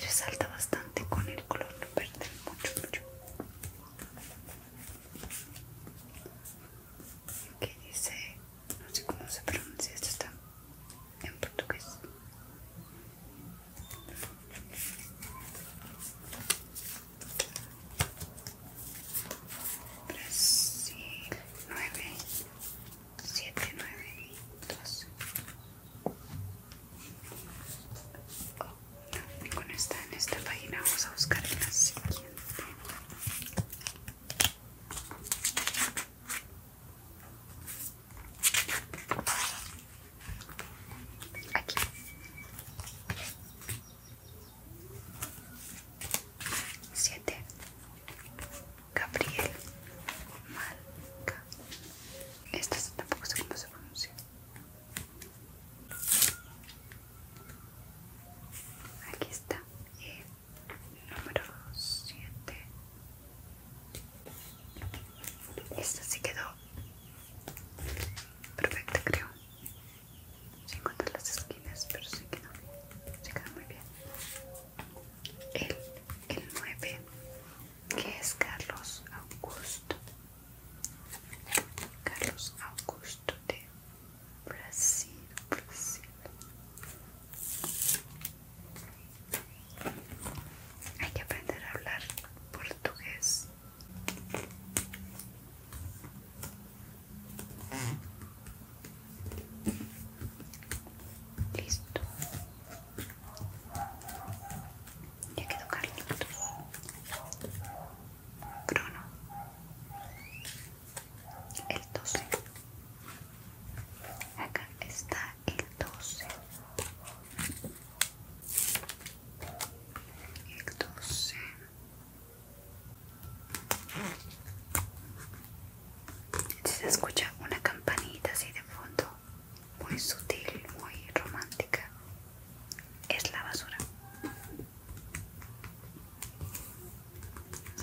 [SPEAKER 1] resalta bastante con el color perder mucho, mucho. Aquí dice, no sé cómo se pronuncia, esta está en portugués. Brasil 9, 7, 9, 12. Oh, no, ninguna está en esta página. Vamos a buscar en la siguiente. Aquí. 7 Gabriel Malca. Esta tampoco sé cómo se pronuncia. Aquí está el eh, número 7 esta sí quedó perfecta creo. Sin contar las esquinas, pero sí quedó, quedó muy bien. El, el 9, que es Carlos Augusto. Carlos Augusto de Brasil, Brasil. Hay que aprender a hablar portugués. Listo. Ya quedó carlito. Crono. El 12. Acá está el 12 el 12 se escucha una campanita así de fondo muy sutil muy romántica es la basura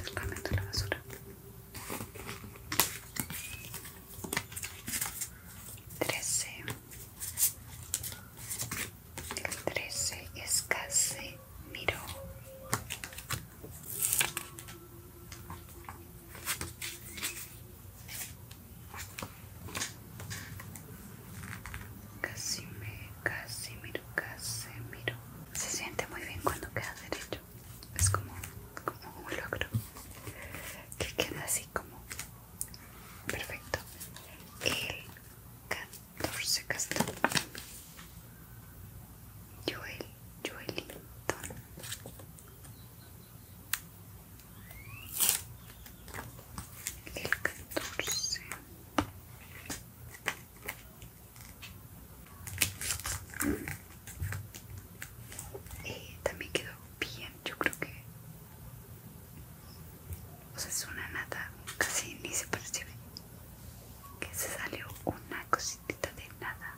[SPEAKER 1] es la basura 13 el 13 es casi miró casi me casi miro casi miro se siente muy bien cuando queda derecho es como, un logro que queda así como perfecto. El catorce El 14 y eh, también quedó bien yo creo que o sea es una nada, casi ni se percibe que se salió una cosita de nada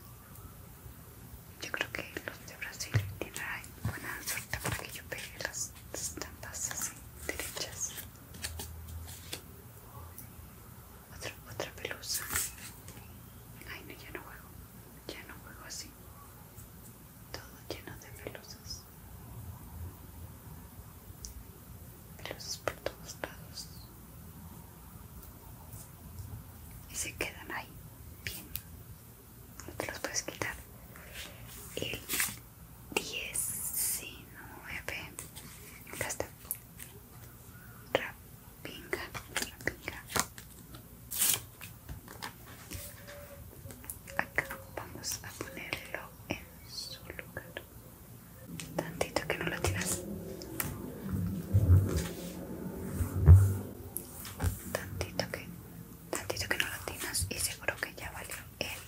[SPEAKER 1] yo creo que los de Brasil tienen buena suerte para que yo pegue las estampas así derechas otra, otra pelusa ay no, ya no juego ya no juego así, todo lleno de pelusas. Pelusas por todos lados. Y se quedan ahí, bien. No te los puedes quitar. El 19. Acá está. Rapinga, rapinga acá vamos a ponerlo en su lugar tantito que no lo tiras tantito que tantito que no lo tiras y seguro que ya valió el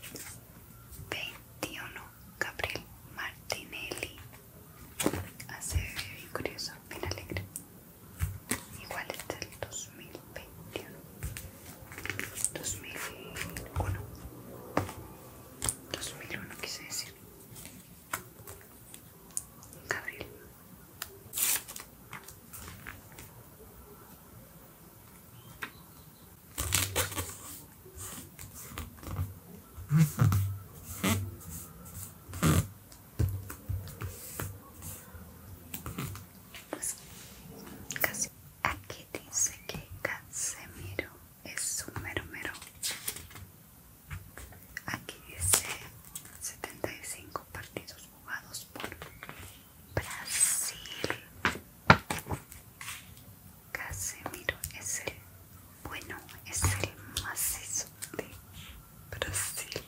[SPEAKER 1] 21 Gabriel Martinelli hace bien curioso bien alegre igual está el 2021 2001 2001 quise decir Gabriel Aquí dice que Casemiro es un mermero. Aquí dice 75 partidos jugados por Brasil. Casemiro es el bueno, es el macizo de Brasil.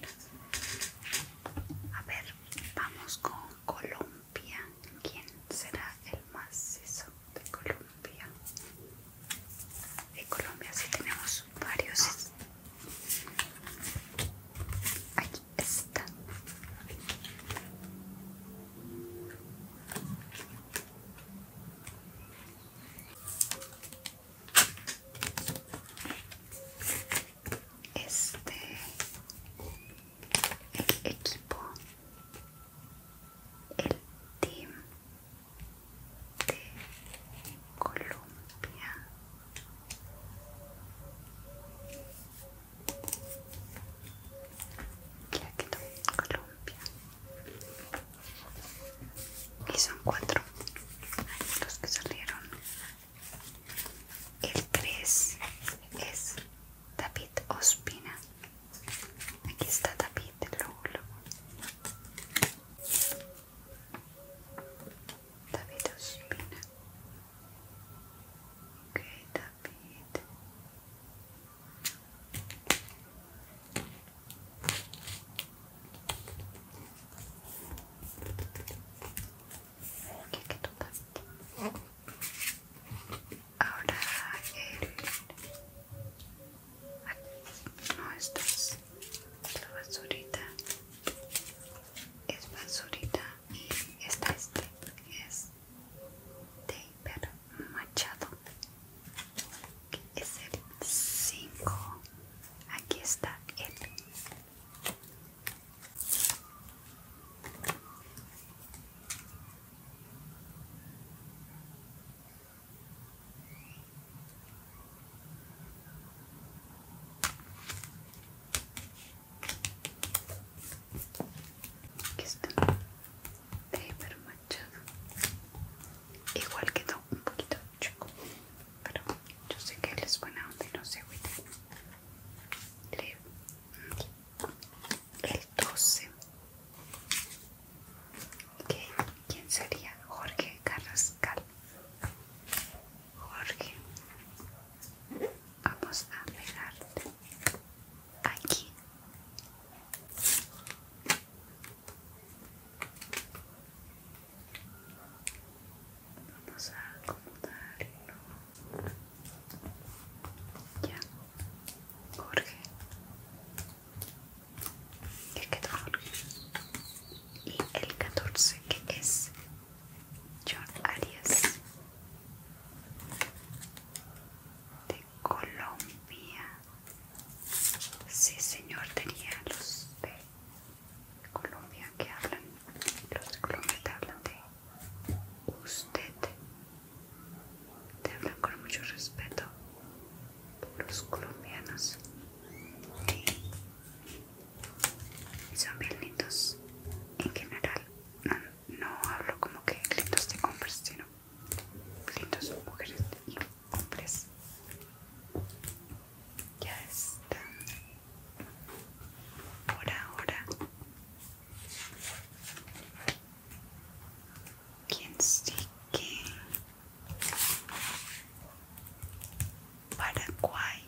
[SPEAKER 1] A ver, vamos con Colombia. ¿Quién será el macizo de Colombia? De Colombia sí tenemos varios. Aquí está este equipo el team de Colombia aquí Colombia y son cuatro los que salieron el tres es David Ospina aquí está David el David David que ahora el no esto es la basurita es basurita y esta es es de machado es el cinco aquí está el Aquí está, hiper manchado, igual quedó un poquito chico. Pero yo sé que él es buena onda no sé agüita. El 12. ¿Quién sería? Jorge Carrascal. Jorge, vamos a pegarte aquí. Vamos a acomodarlo. Ya, Jorge. ¿Qué quedó Jorge? Y el catorce, que es John Arias de Colombia. Sí, señor, tenía los pelos. Colombia que hablan, los de Colombia te hablan de usted, te hablan con mucho respeto los colombianos y son bien lindos en general, no, hablo como que lindos de hombres, sino lindos mujeres y hombres. Ya están por ahora quien sí Paraguay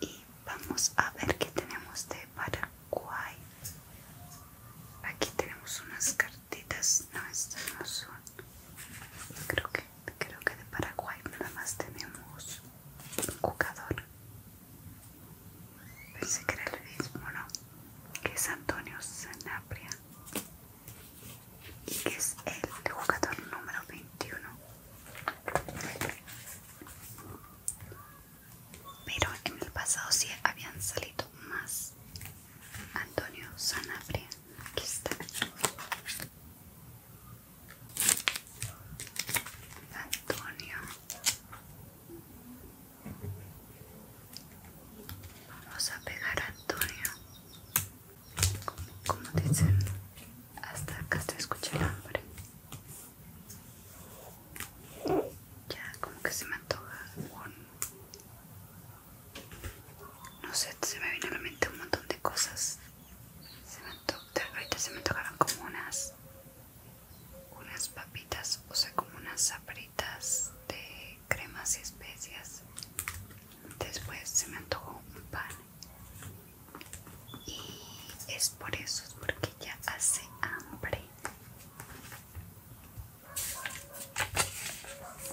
[SPEAKER 1] y vamos a ver qué tenemos de Paraguay aquí tenemos unas cartitas no estas no son creo que creo que de Paraguay nada más tenemos un jugador. Pensé que era el mismo, ¿no? Que es Antonio Sanabria. Y que es el jugador número 21. Pero en el pasado sí habían salido más. Antonio Sanabria, aquí está. Antonio. Vamos a pegar a Antonio. Como, dicen, hasta acá se escucha el hambre. Ya como que se me antoja No sé, se me viene a la mente un montón de cosas se me ahorita se me tocaron como unas unas papitas, o sea como unas zapatitas de cremas y especias. Después se me antojó un pan. Y es por eso, es porque ya hace hambre.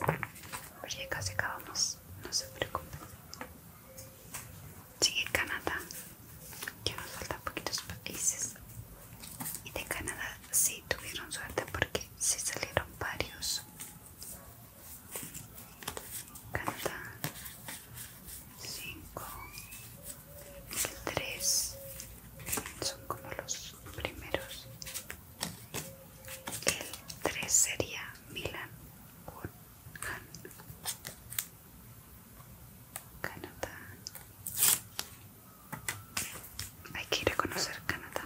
[SPEAKER 1] Pero casi acabamos, no se preocupen. Sigue Canadá, que nos poquitos países. Y de Canadá sí tuvieron suerte porque sí salieron varios. Canadá 5, 3 son como los primeros. El 3 sería Milan Canadá. Hay que ir a conocer Canadá.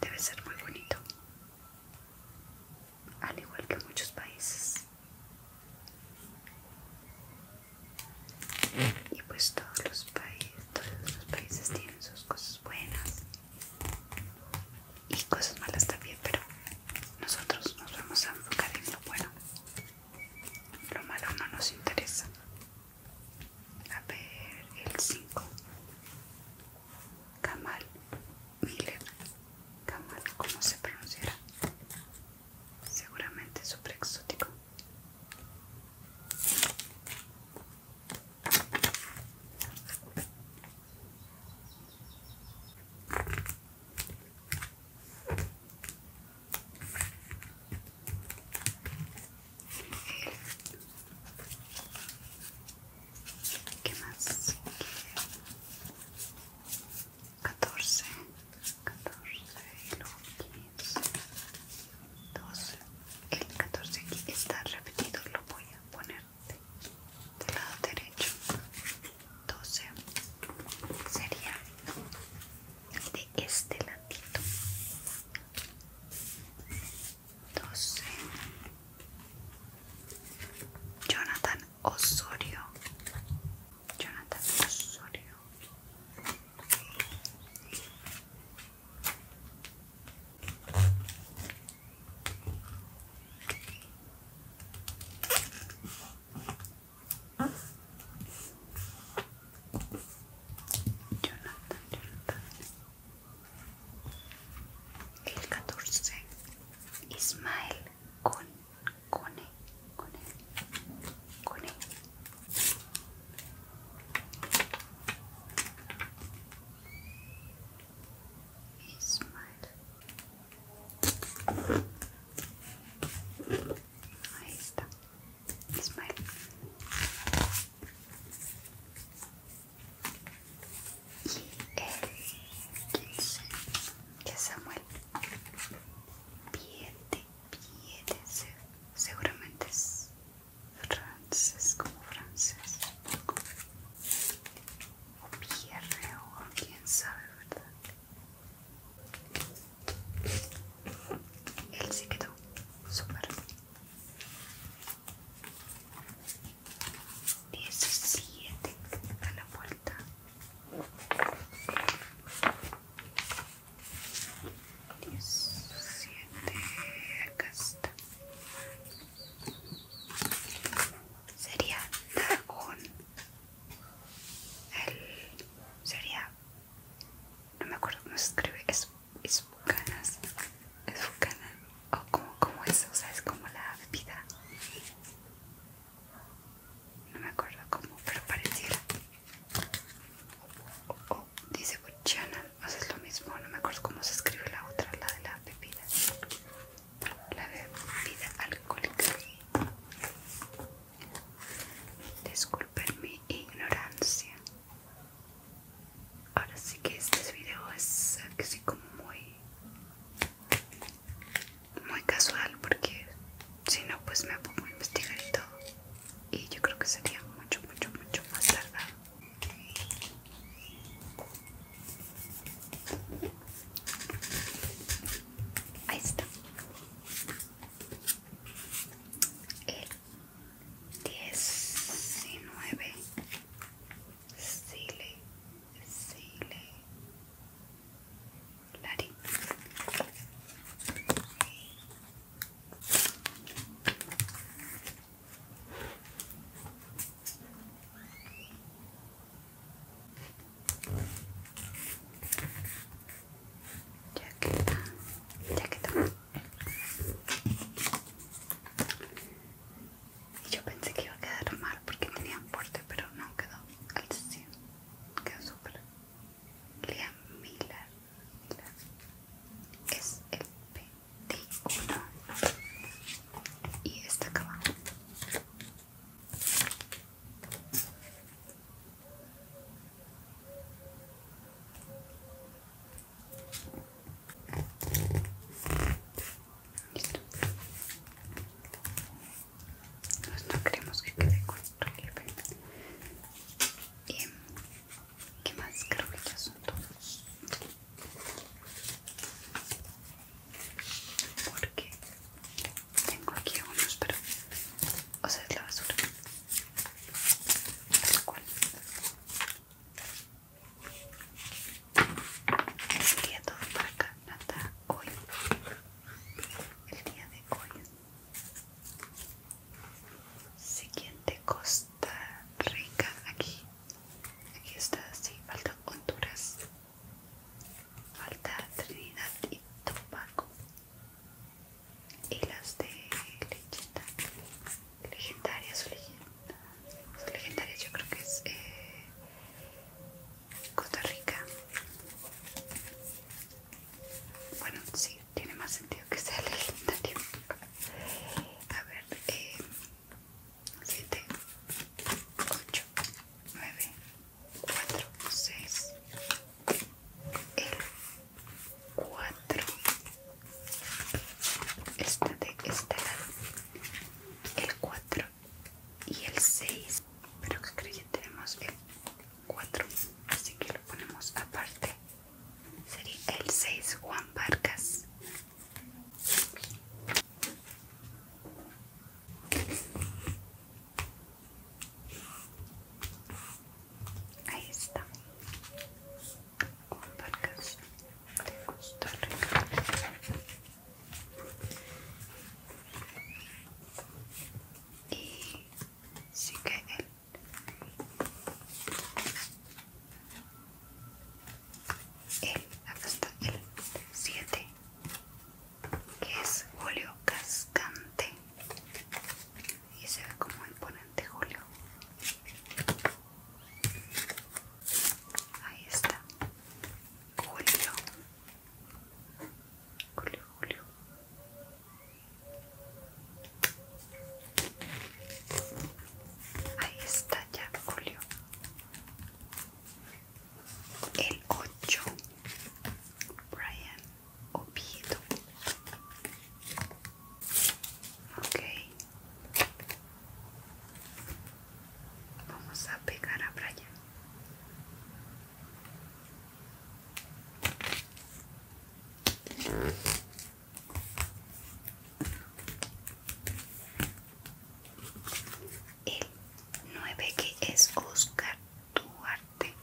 [SPEAKER 1] Debe ser muy bonito. Al igual que muchos países. Y pues todos los países, todos los países tienen sus cosas buenas y cosas malas también, pero nosotros nos vamos a enfocar en lo bueno. Lo malo no nos interesa. A ver, el 5. Kamal Miller. Kamal, ¿cómo se pronunciará? Seguramente súper exótico. ¿Qué más? 14, 14 y 15, 12. El 14 aquí está repetido, lo voy a poner del lado derecho 12 sería de este ladito 12 Jonathan Osorio Jonathan Osorio Jonathan, Jonathan. El 14. Ismael con e, e, e. Ismael. Ahí está. Ismael. Y el 15, que Samuel. Piete, piete, seguramente es francés, como francés o Pierre o quién sabe, ¿verdad? Él se quedó súper. 17 a la vuelta. 17, acá está sería un el sería no me acuerdo cómo se escribe es es bucanas es bucanas o como es o sea es como la pepita no me acuerdo cómo pero pareciera oh, dice buchanan o sea es lo mismo no me acuerdo cómo se escribe la otra la de la pepita la vida alcohólica. Disculpen mi ignorancia. Ahora sí que este video es así como muy, muy casual porque si no pues me pongo a investigar y todo. Y yo creo que sería mucho, mucho, mucho más tardado. Ahí está. El 19 Sile, Sile, ya jaqueta. Y yo pensé que iba a quedar mal porque tenía un porte, pero no quedó al sí Quedó súper. Liam Miller. Es el pe de y esta acá pues no queremos que quede corto em, ¿Qué más? Creo que todos porque tengo aquí unos pero o sea es la basura tal cual todo para hoy el día de hoy siguiente Costa Rica aquí Aquí está, sí, falta Honduras. Falta Trinidad y Tobago. Y las de Lechita Legendarias o legendarias. Legendarias yo creo que es eh, Costa Rica. Bueno, sí, tiene más sentido que sea legendario. A ver, eh, 7, 8, 9, 4, 6, el 4, esta de este lado, el 4 y el 6, pero que creo que tenemos el 4, así que lo ponemos aparte. Sería el 6 Juan Vargas Ahí está. Alparcas de Costa Rica. Y sigue el el, acá el 7 que es Julio Cascante y se ve como imponente Julio ahí está Julio Julio Julio Ahí está ya Julio el 8, Brian Oviedo. Ok. Vamos a pegar a Brian. El 9 que es Oscar Duarte.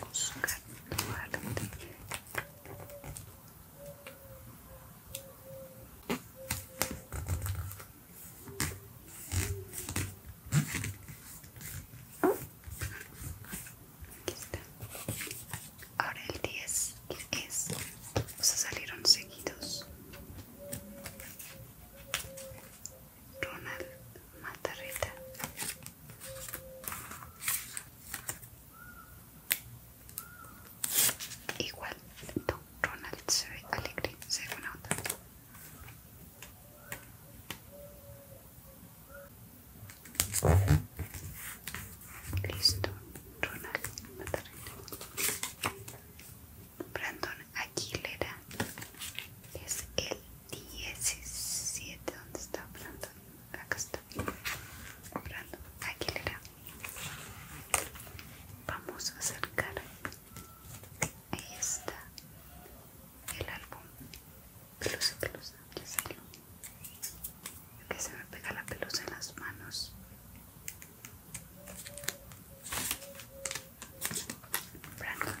[SPEAKER 1] Oscar Duarte. Aquí está ahora el 10 es o sea salieron seguidos Ronald Matarrita igual Ronald se ve alegre según la otra Listo, Ronald Brandon Aguilera es el 17. ¿Dónde está Brandon? Acá está. Brandon Aguilera. Vamos a acercar. Ahí está el álbum. Pelusa, pelusa, ya salió que se me pega la pelusa en las manos Brandon.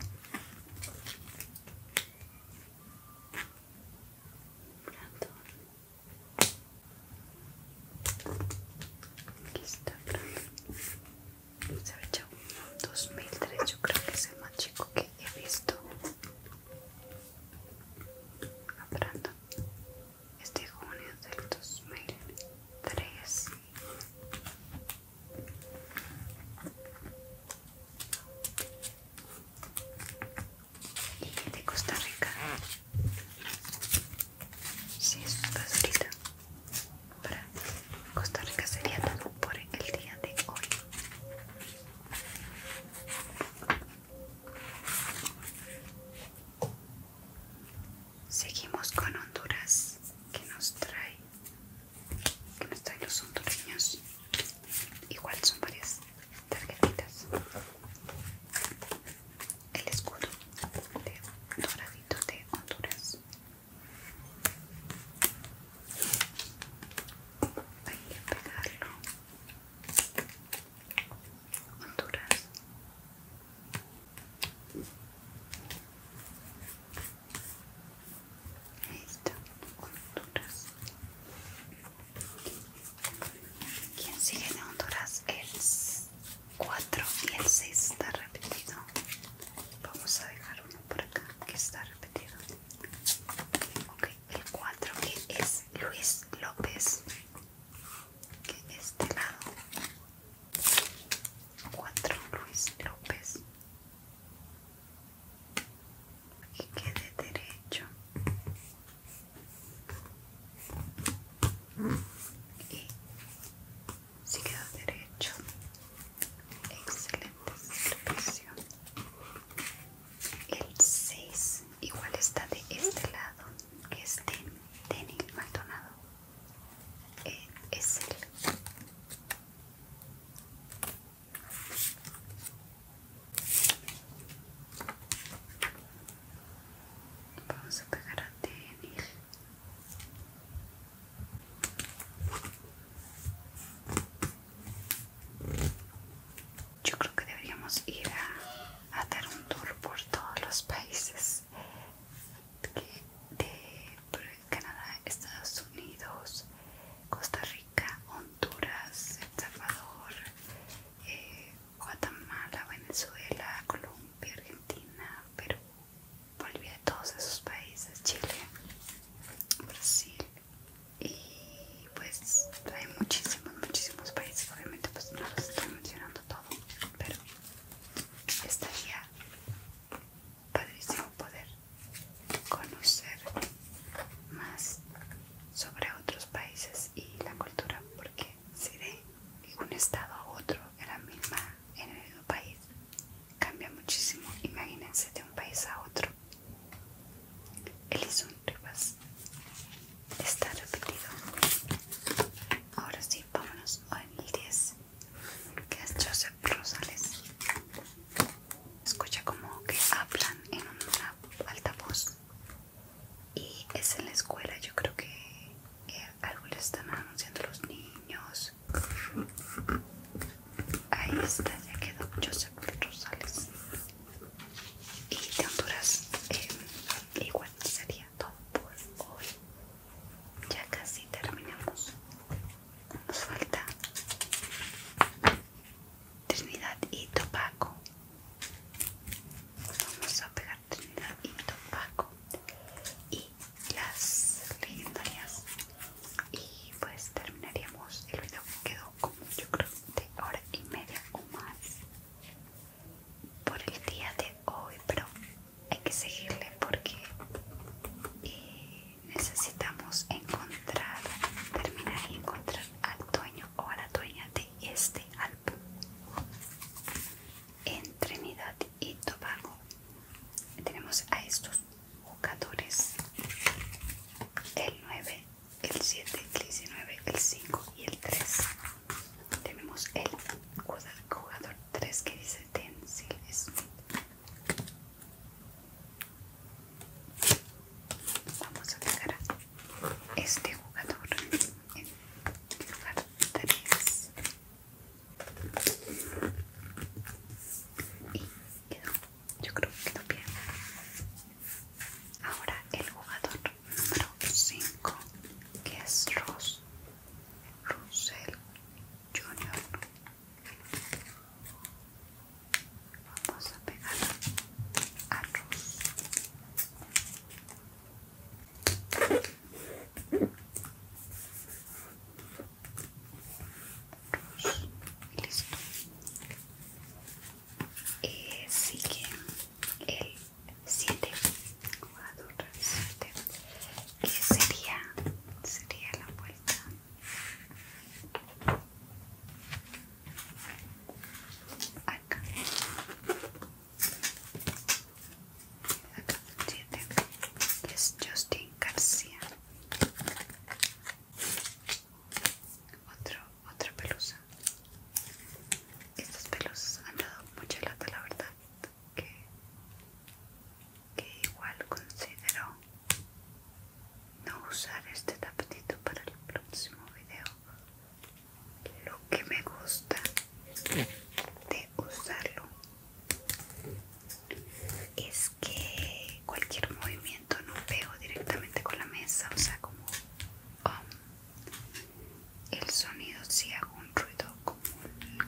[SPEAKER 1] Aquí está Brandon. Se ve Dos un 2003, yo creo que es el más chico que he visto. A este junio del 2003. Y de Costa Rica. Si sí, es Para Costa Rica sería todo por el día de hoy. Seguimos con Honduras, que nos trae, que nos trae los hondureños. Igual son varias tarjetitas. El escudo de doradito de Honduras. Hay que pegarlo. Honduras. Ahí Honduras. ¿Quién sigue en Honduras? El 4 y el 6 está repetido. Vamos a dejar uno por acá que está repetido. Ok, el 4 que es Luis López que este lado cuatro Luis López y quede derecho y si queda derecho excelente el 6 igual está de este lado que es este Denny Maldonado. Eh, es el Vamos a pegar a tenis yo creo que deberíamos ir a, hacer un tour por todos los países de, Canadá, Estados Unidos, Costa Rica, Honduras, El Salvador, eh, Guatemala, Venezuela, Colombia, Argentina, Perú, Bolivia, todos esos países, Chile, Brasil y pues hay muchísimos muchísimos países, obviamente pues no los estoy mencionando todo, pero estaría padrísimo poder conocer más sobre otros países y la cultura, porque si de un estado a otro en la misma, en el mismo país, cambia muchísimo, imagínense de un país a otro. Él hizo un está repetido ahora sí vámonos al 10 que es Joseph Rosales escucha como que hablan en una alta voz y es en la escuela yo creo que algo le están anunciando los niños ahí está ya quedó Joseph Rosales y de Honduras eh, igual sería todo por hoy ya casi terminamos nos falta Trinidad y Tobago vamos a pegar Trinidad y Tobago y las legendarias y pues terminaríamos el video quedó como yo creo de hora y media o más por el día de hoy, pero hay que seguirle porque eh, necesitamos encontrar, terminar y encontrar al dueño o a la dueña de este álbum. En Trinidad y Tobago tenemos a estos jugadores. El 9 el 7, el 19, el 5 y el 3. Tenemos el jugador 3 que dice Ten Silves. Vamos a pegar a este jugador en lugar 3. Y quedó, yo creo que quedó bien. Ahora el jugador número cinco, que es Ross Russell Jr. Vamos a pegar a Ross. Ross. Listo. Eh, sigue el Siete, ¿qué que sería sería la vuelta acá acá siete. es Justin García otro otra pelusa estos pelos han dado mucha lata la verdad que, igual considero no usar este tapetito para el próximo video lo que me gusta de usarlo es que cualquier movimiento no pego directamente con la mesa o sea como um, el sonido si hago un ruido como un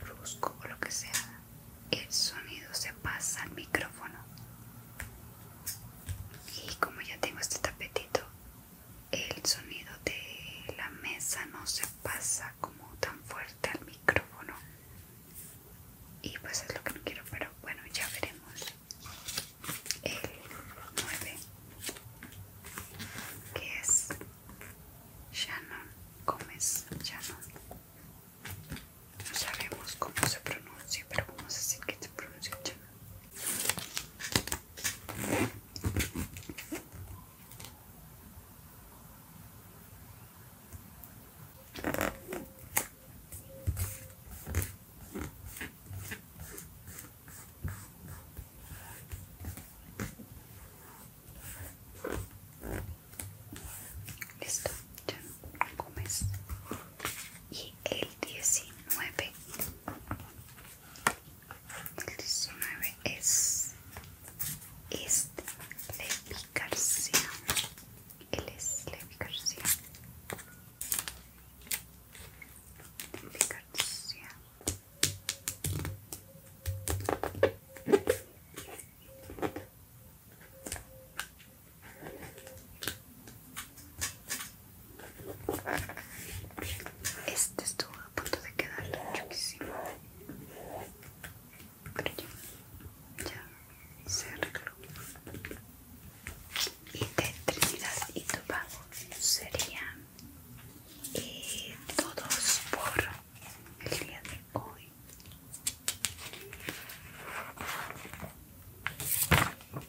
[SPEAKER 1] brusco o lo que sea el sonido se pasa al micrófono y como ya tengo este tapetito el sonido de la mesa no se pasa como tan fuerte al micrófono y pues es lo que no quiero pero bueno ya veremos el nueve, que es Shannon Gómez Shannon no sabemos cómo se pronuncia pero vamos a decir que se pronuncia Shannon Listo, ya no comes. Y el 19. El 19 es este Levi García. Él es Levi García. Levi García. Este estuvo a punto de quedar muchísimo, pero ya, ya se arregló. Y de Trinidad y Tobago serían y todos por el día de hoy ah,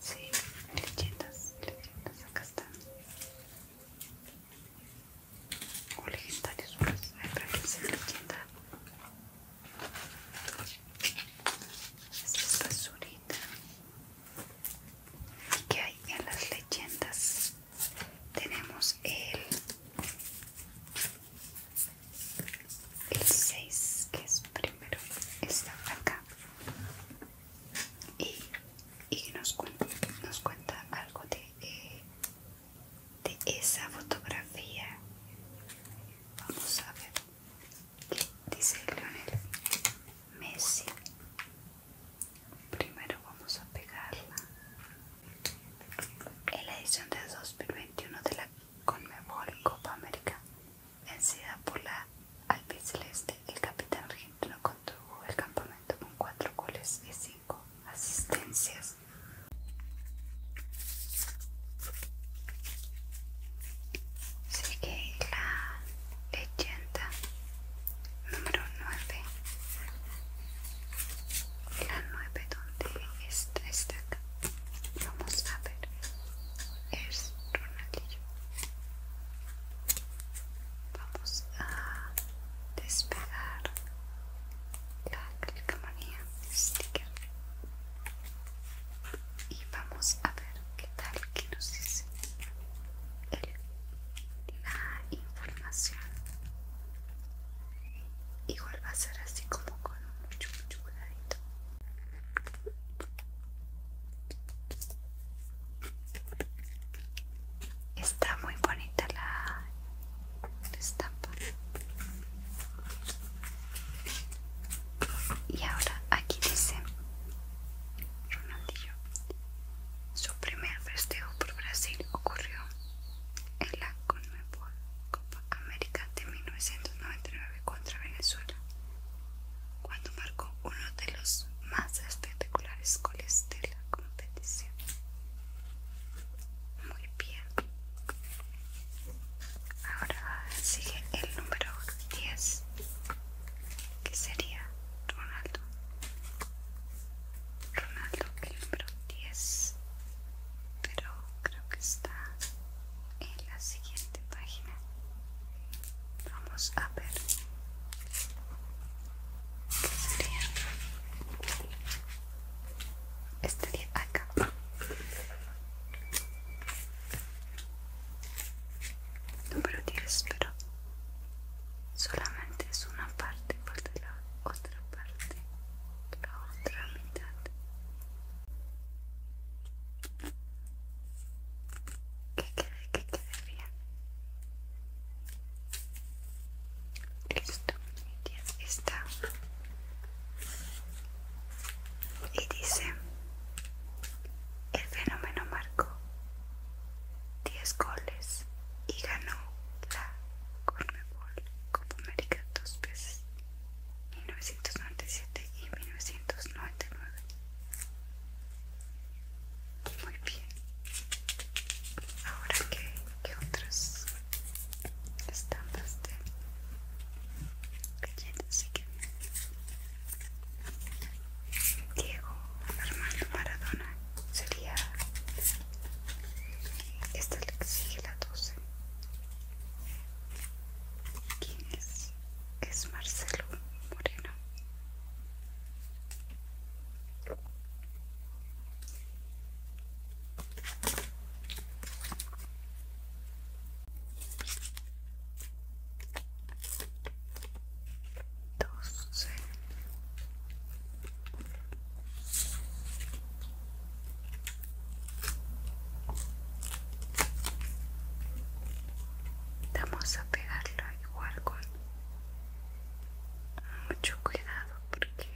[SPEAKER 1] sí, leyendas, leyendas, acá están o legendarios, pues, hay leyendas esta basurita. qué hay en las leyendas? Tenemos el. El 6, que es primero, está acá. Y, y nos, cuenta, nos cuenta algo de, eh, de esa fotografía. Vamos a ver dice Lionel Messi primero vamos a pegarla en la edición de 2021 de la Conmebol Copa América vencida por la albiceleste el capitán argentino contuvo el campamento con cuatro goles y cinco asistencias Sigue la leyenda número 9. La 9 donde está esta Vamos a ver. Es Ronaldillo. Vamos a despegar la calcamonía sticker y vamos a ver qué tal que nos dice la información igual va a ser así como con mucho mucho cuidadito está muy bonita la estampa y ahora aquí dice Ronaldillo Su primer festejo por Brasil ocurrió en la Copa América de 1999 contra Venezuela, cuando marcó uno de los más espectaculares goles de la competición. Muy bien. Ahora sigue el número 10, que sería Ronaldo. Ronaldo, el número 10, pero creo que está en la siguiente página. Vamos a ver sería. Estaría acá número 10 pero solamente es una parte de la otra parte la otra mitad que quede que quede bien listo mi 10 está y dice, el fenómeno marcó 10 goles y ganó la cornebol Copa América dos veces, 1997 y 1999. Muy bien. Ahora que qué otras estampas de galletas que Diego Armando Maradona sería esta le la 12 ¿Quién es? Es Marcelo Moreno vamos a pegarlo igual con mucho cuidado porque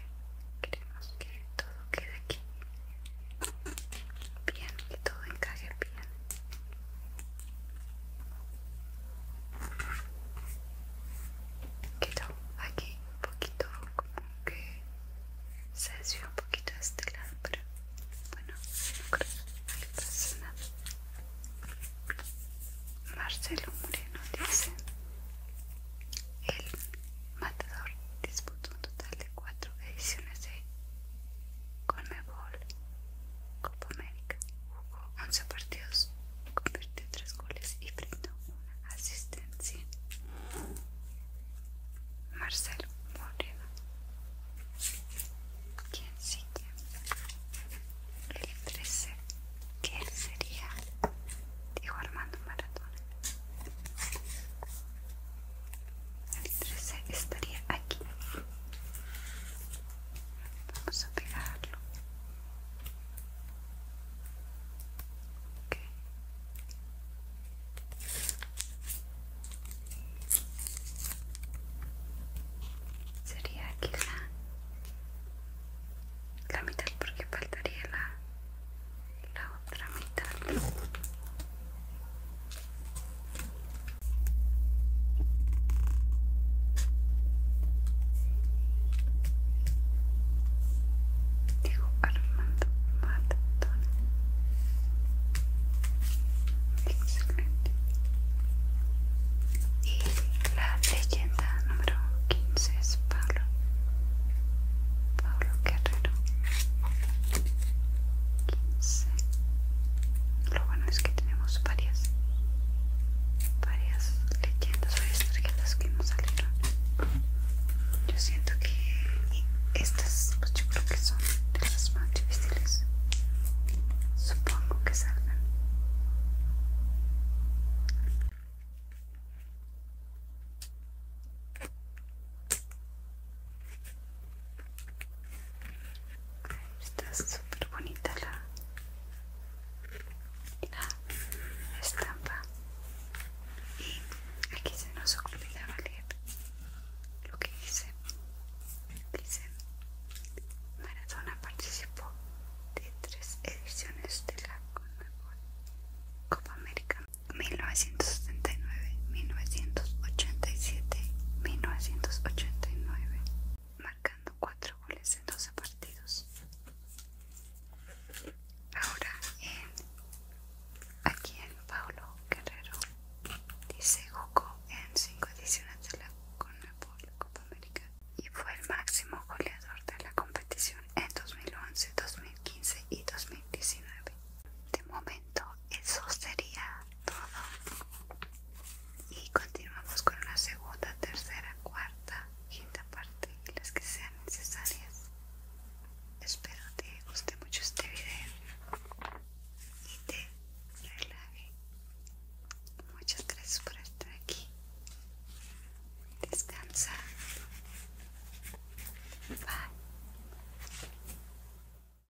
[SPEAKER 1] queremos que todo quede aquí bien, que todo encaje bien. Quedó aquí un poquito como que se desvió un poquito a este lado, pero bueno, no creo que pase nada. Marcelo Moreno dice: El matador disputó un total de cuatro ediciones de Conmebol Copa América jugó 11 partidos, convirtió 3 goles y brindó una asistencia. Marcelo Moreno. ¿Quién sigue? El 13, que sería Dijo Armando Maradona el 13 estaría aquí vamos a pegarlo sería aquí la, la mitad porque faltaría la, la otra mitad Dijo Armando Matatón. Excelente. Y la leyenda número 15 es Pablo. Pablo Guerrero. 15 lo bueno es que tenemos varias, varias leyendas, varias tarjetas que nos salieron. Yo siento que estas, pues yo creo que son de las más difíciles. Supongo que salgan. Está súper bonita la, estampa. Y aquí se nos la leer lo que dice. Dice, Maradona participó de tres ediciones de la Copa América 1970 1987, 1989, marcando 4 goles en 12 partidos. Ahora aquí en Paulo Guerrero dice jugó en 5 ediciones de la Copa América y fue el máximo goleador de la competición en 2011, 2015 y 2019. De momento eso sería todo. Y continuamos con la segunda, tercera, cuarta, quinta parte y las que sean necesarias. Espero te guste mucho este video y te relaje. Muchas gracias por estar aquí. Descansa. Bye.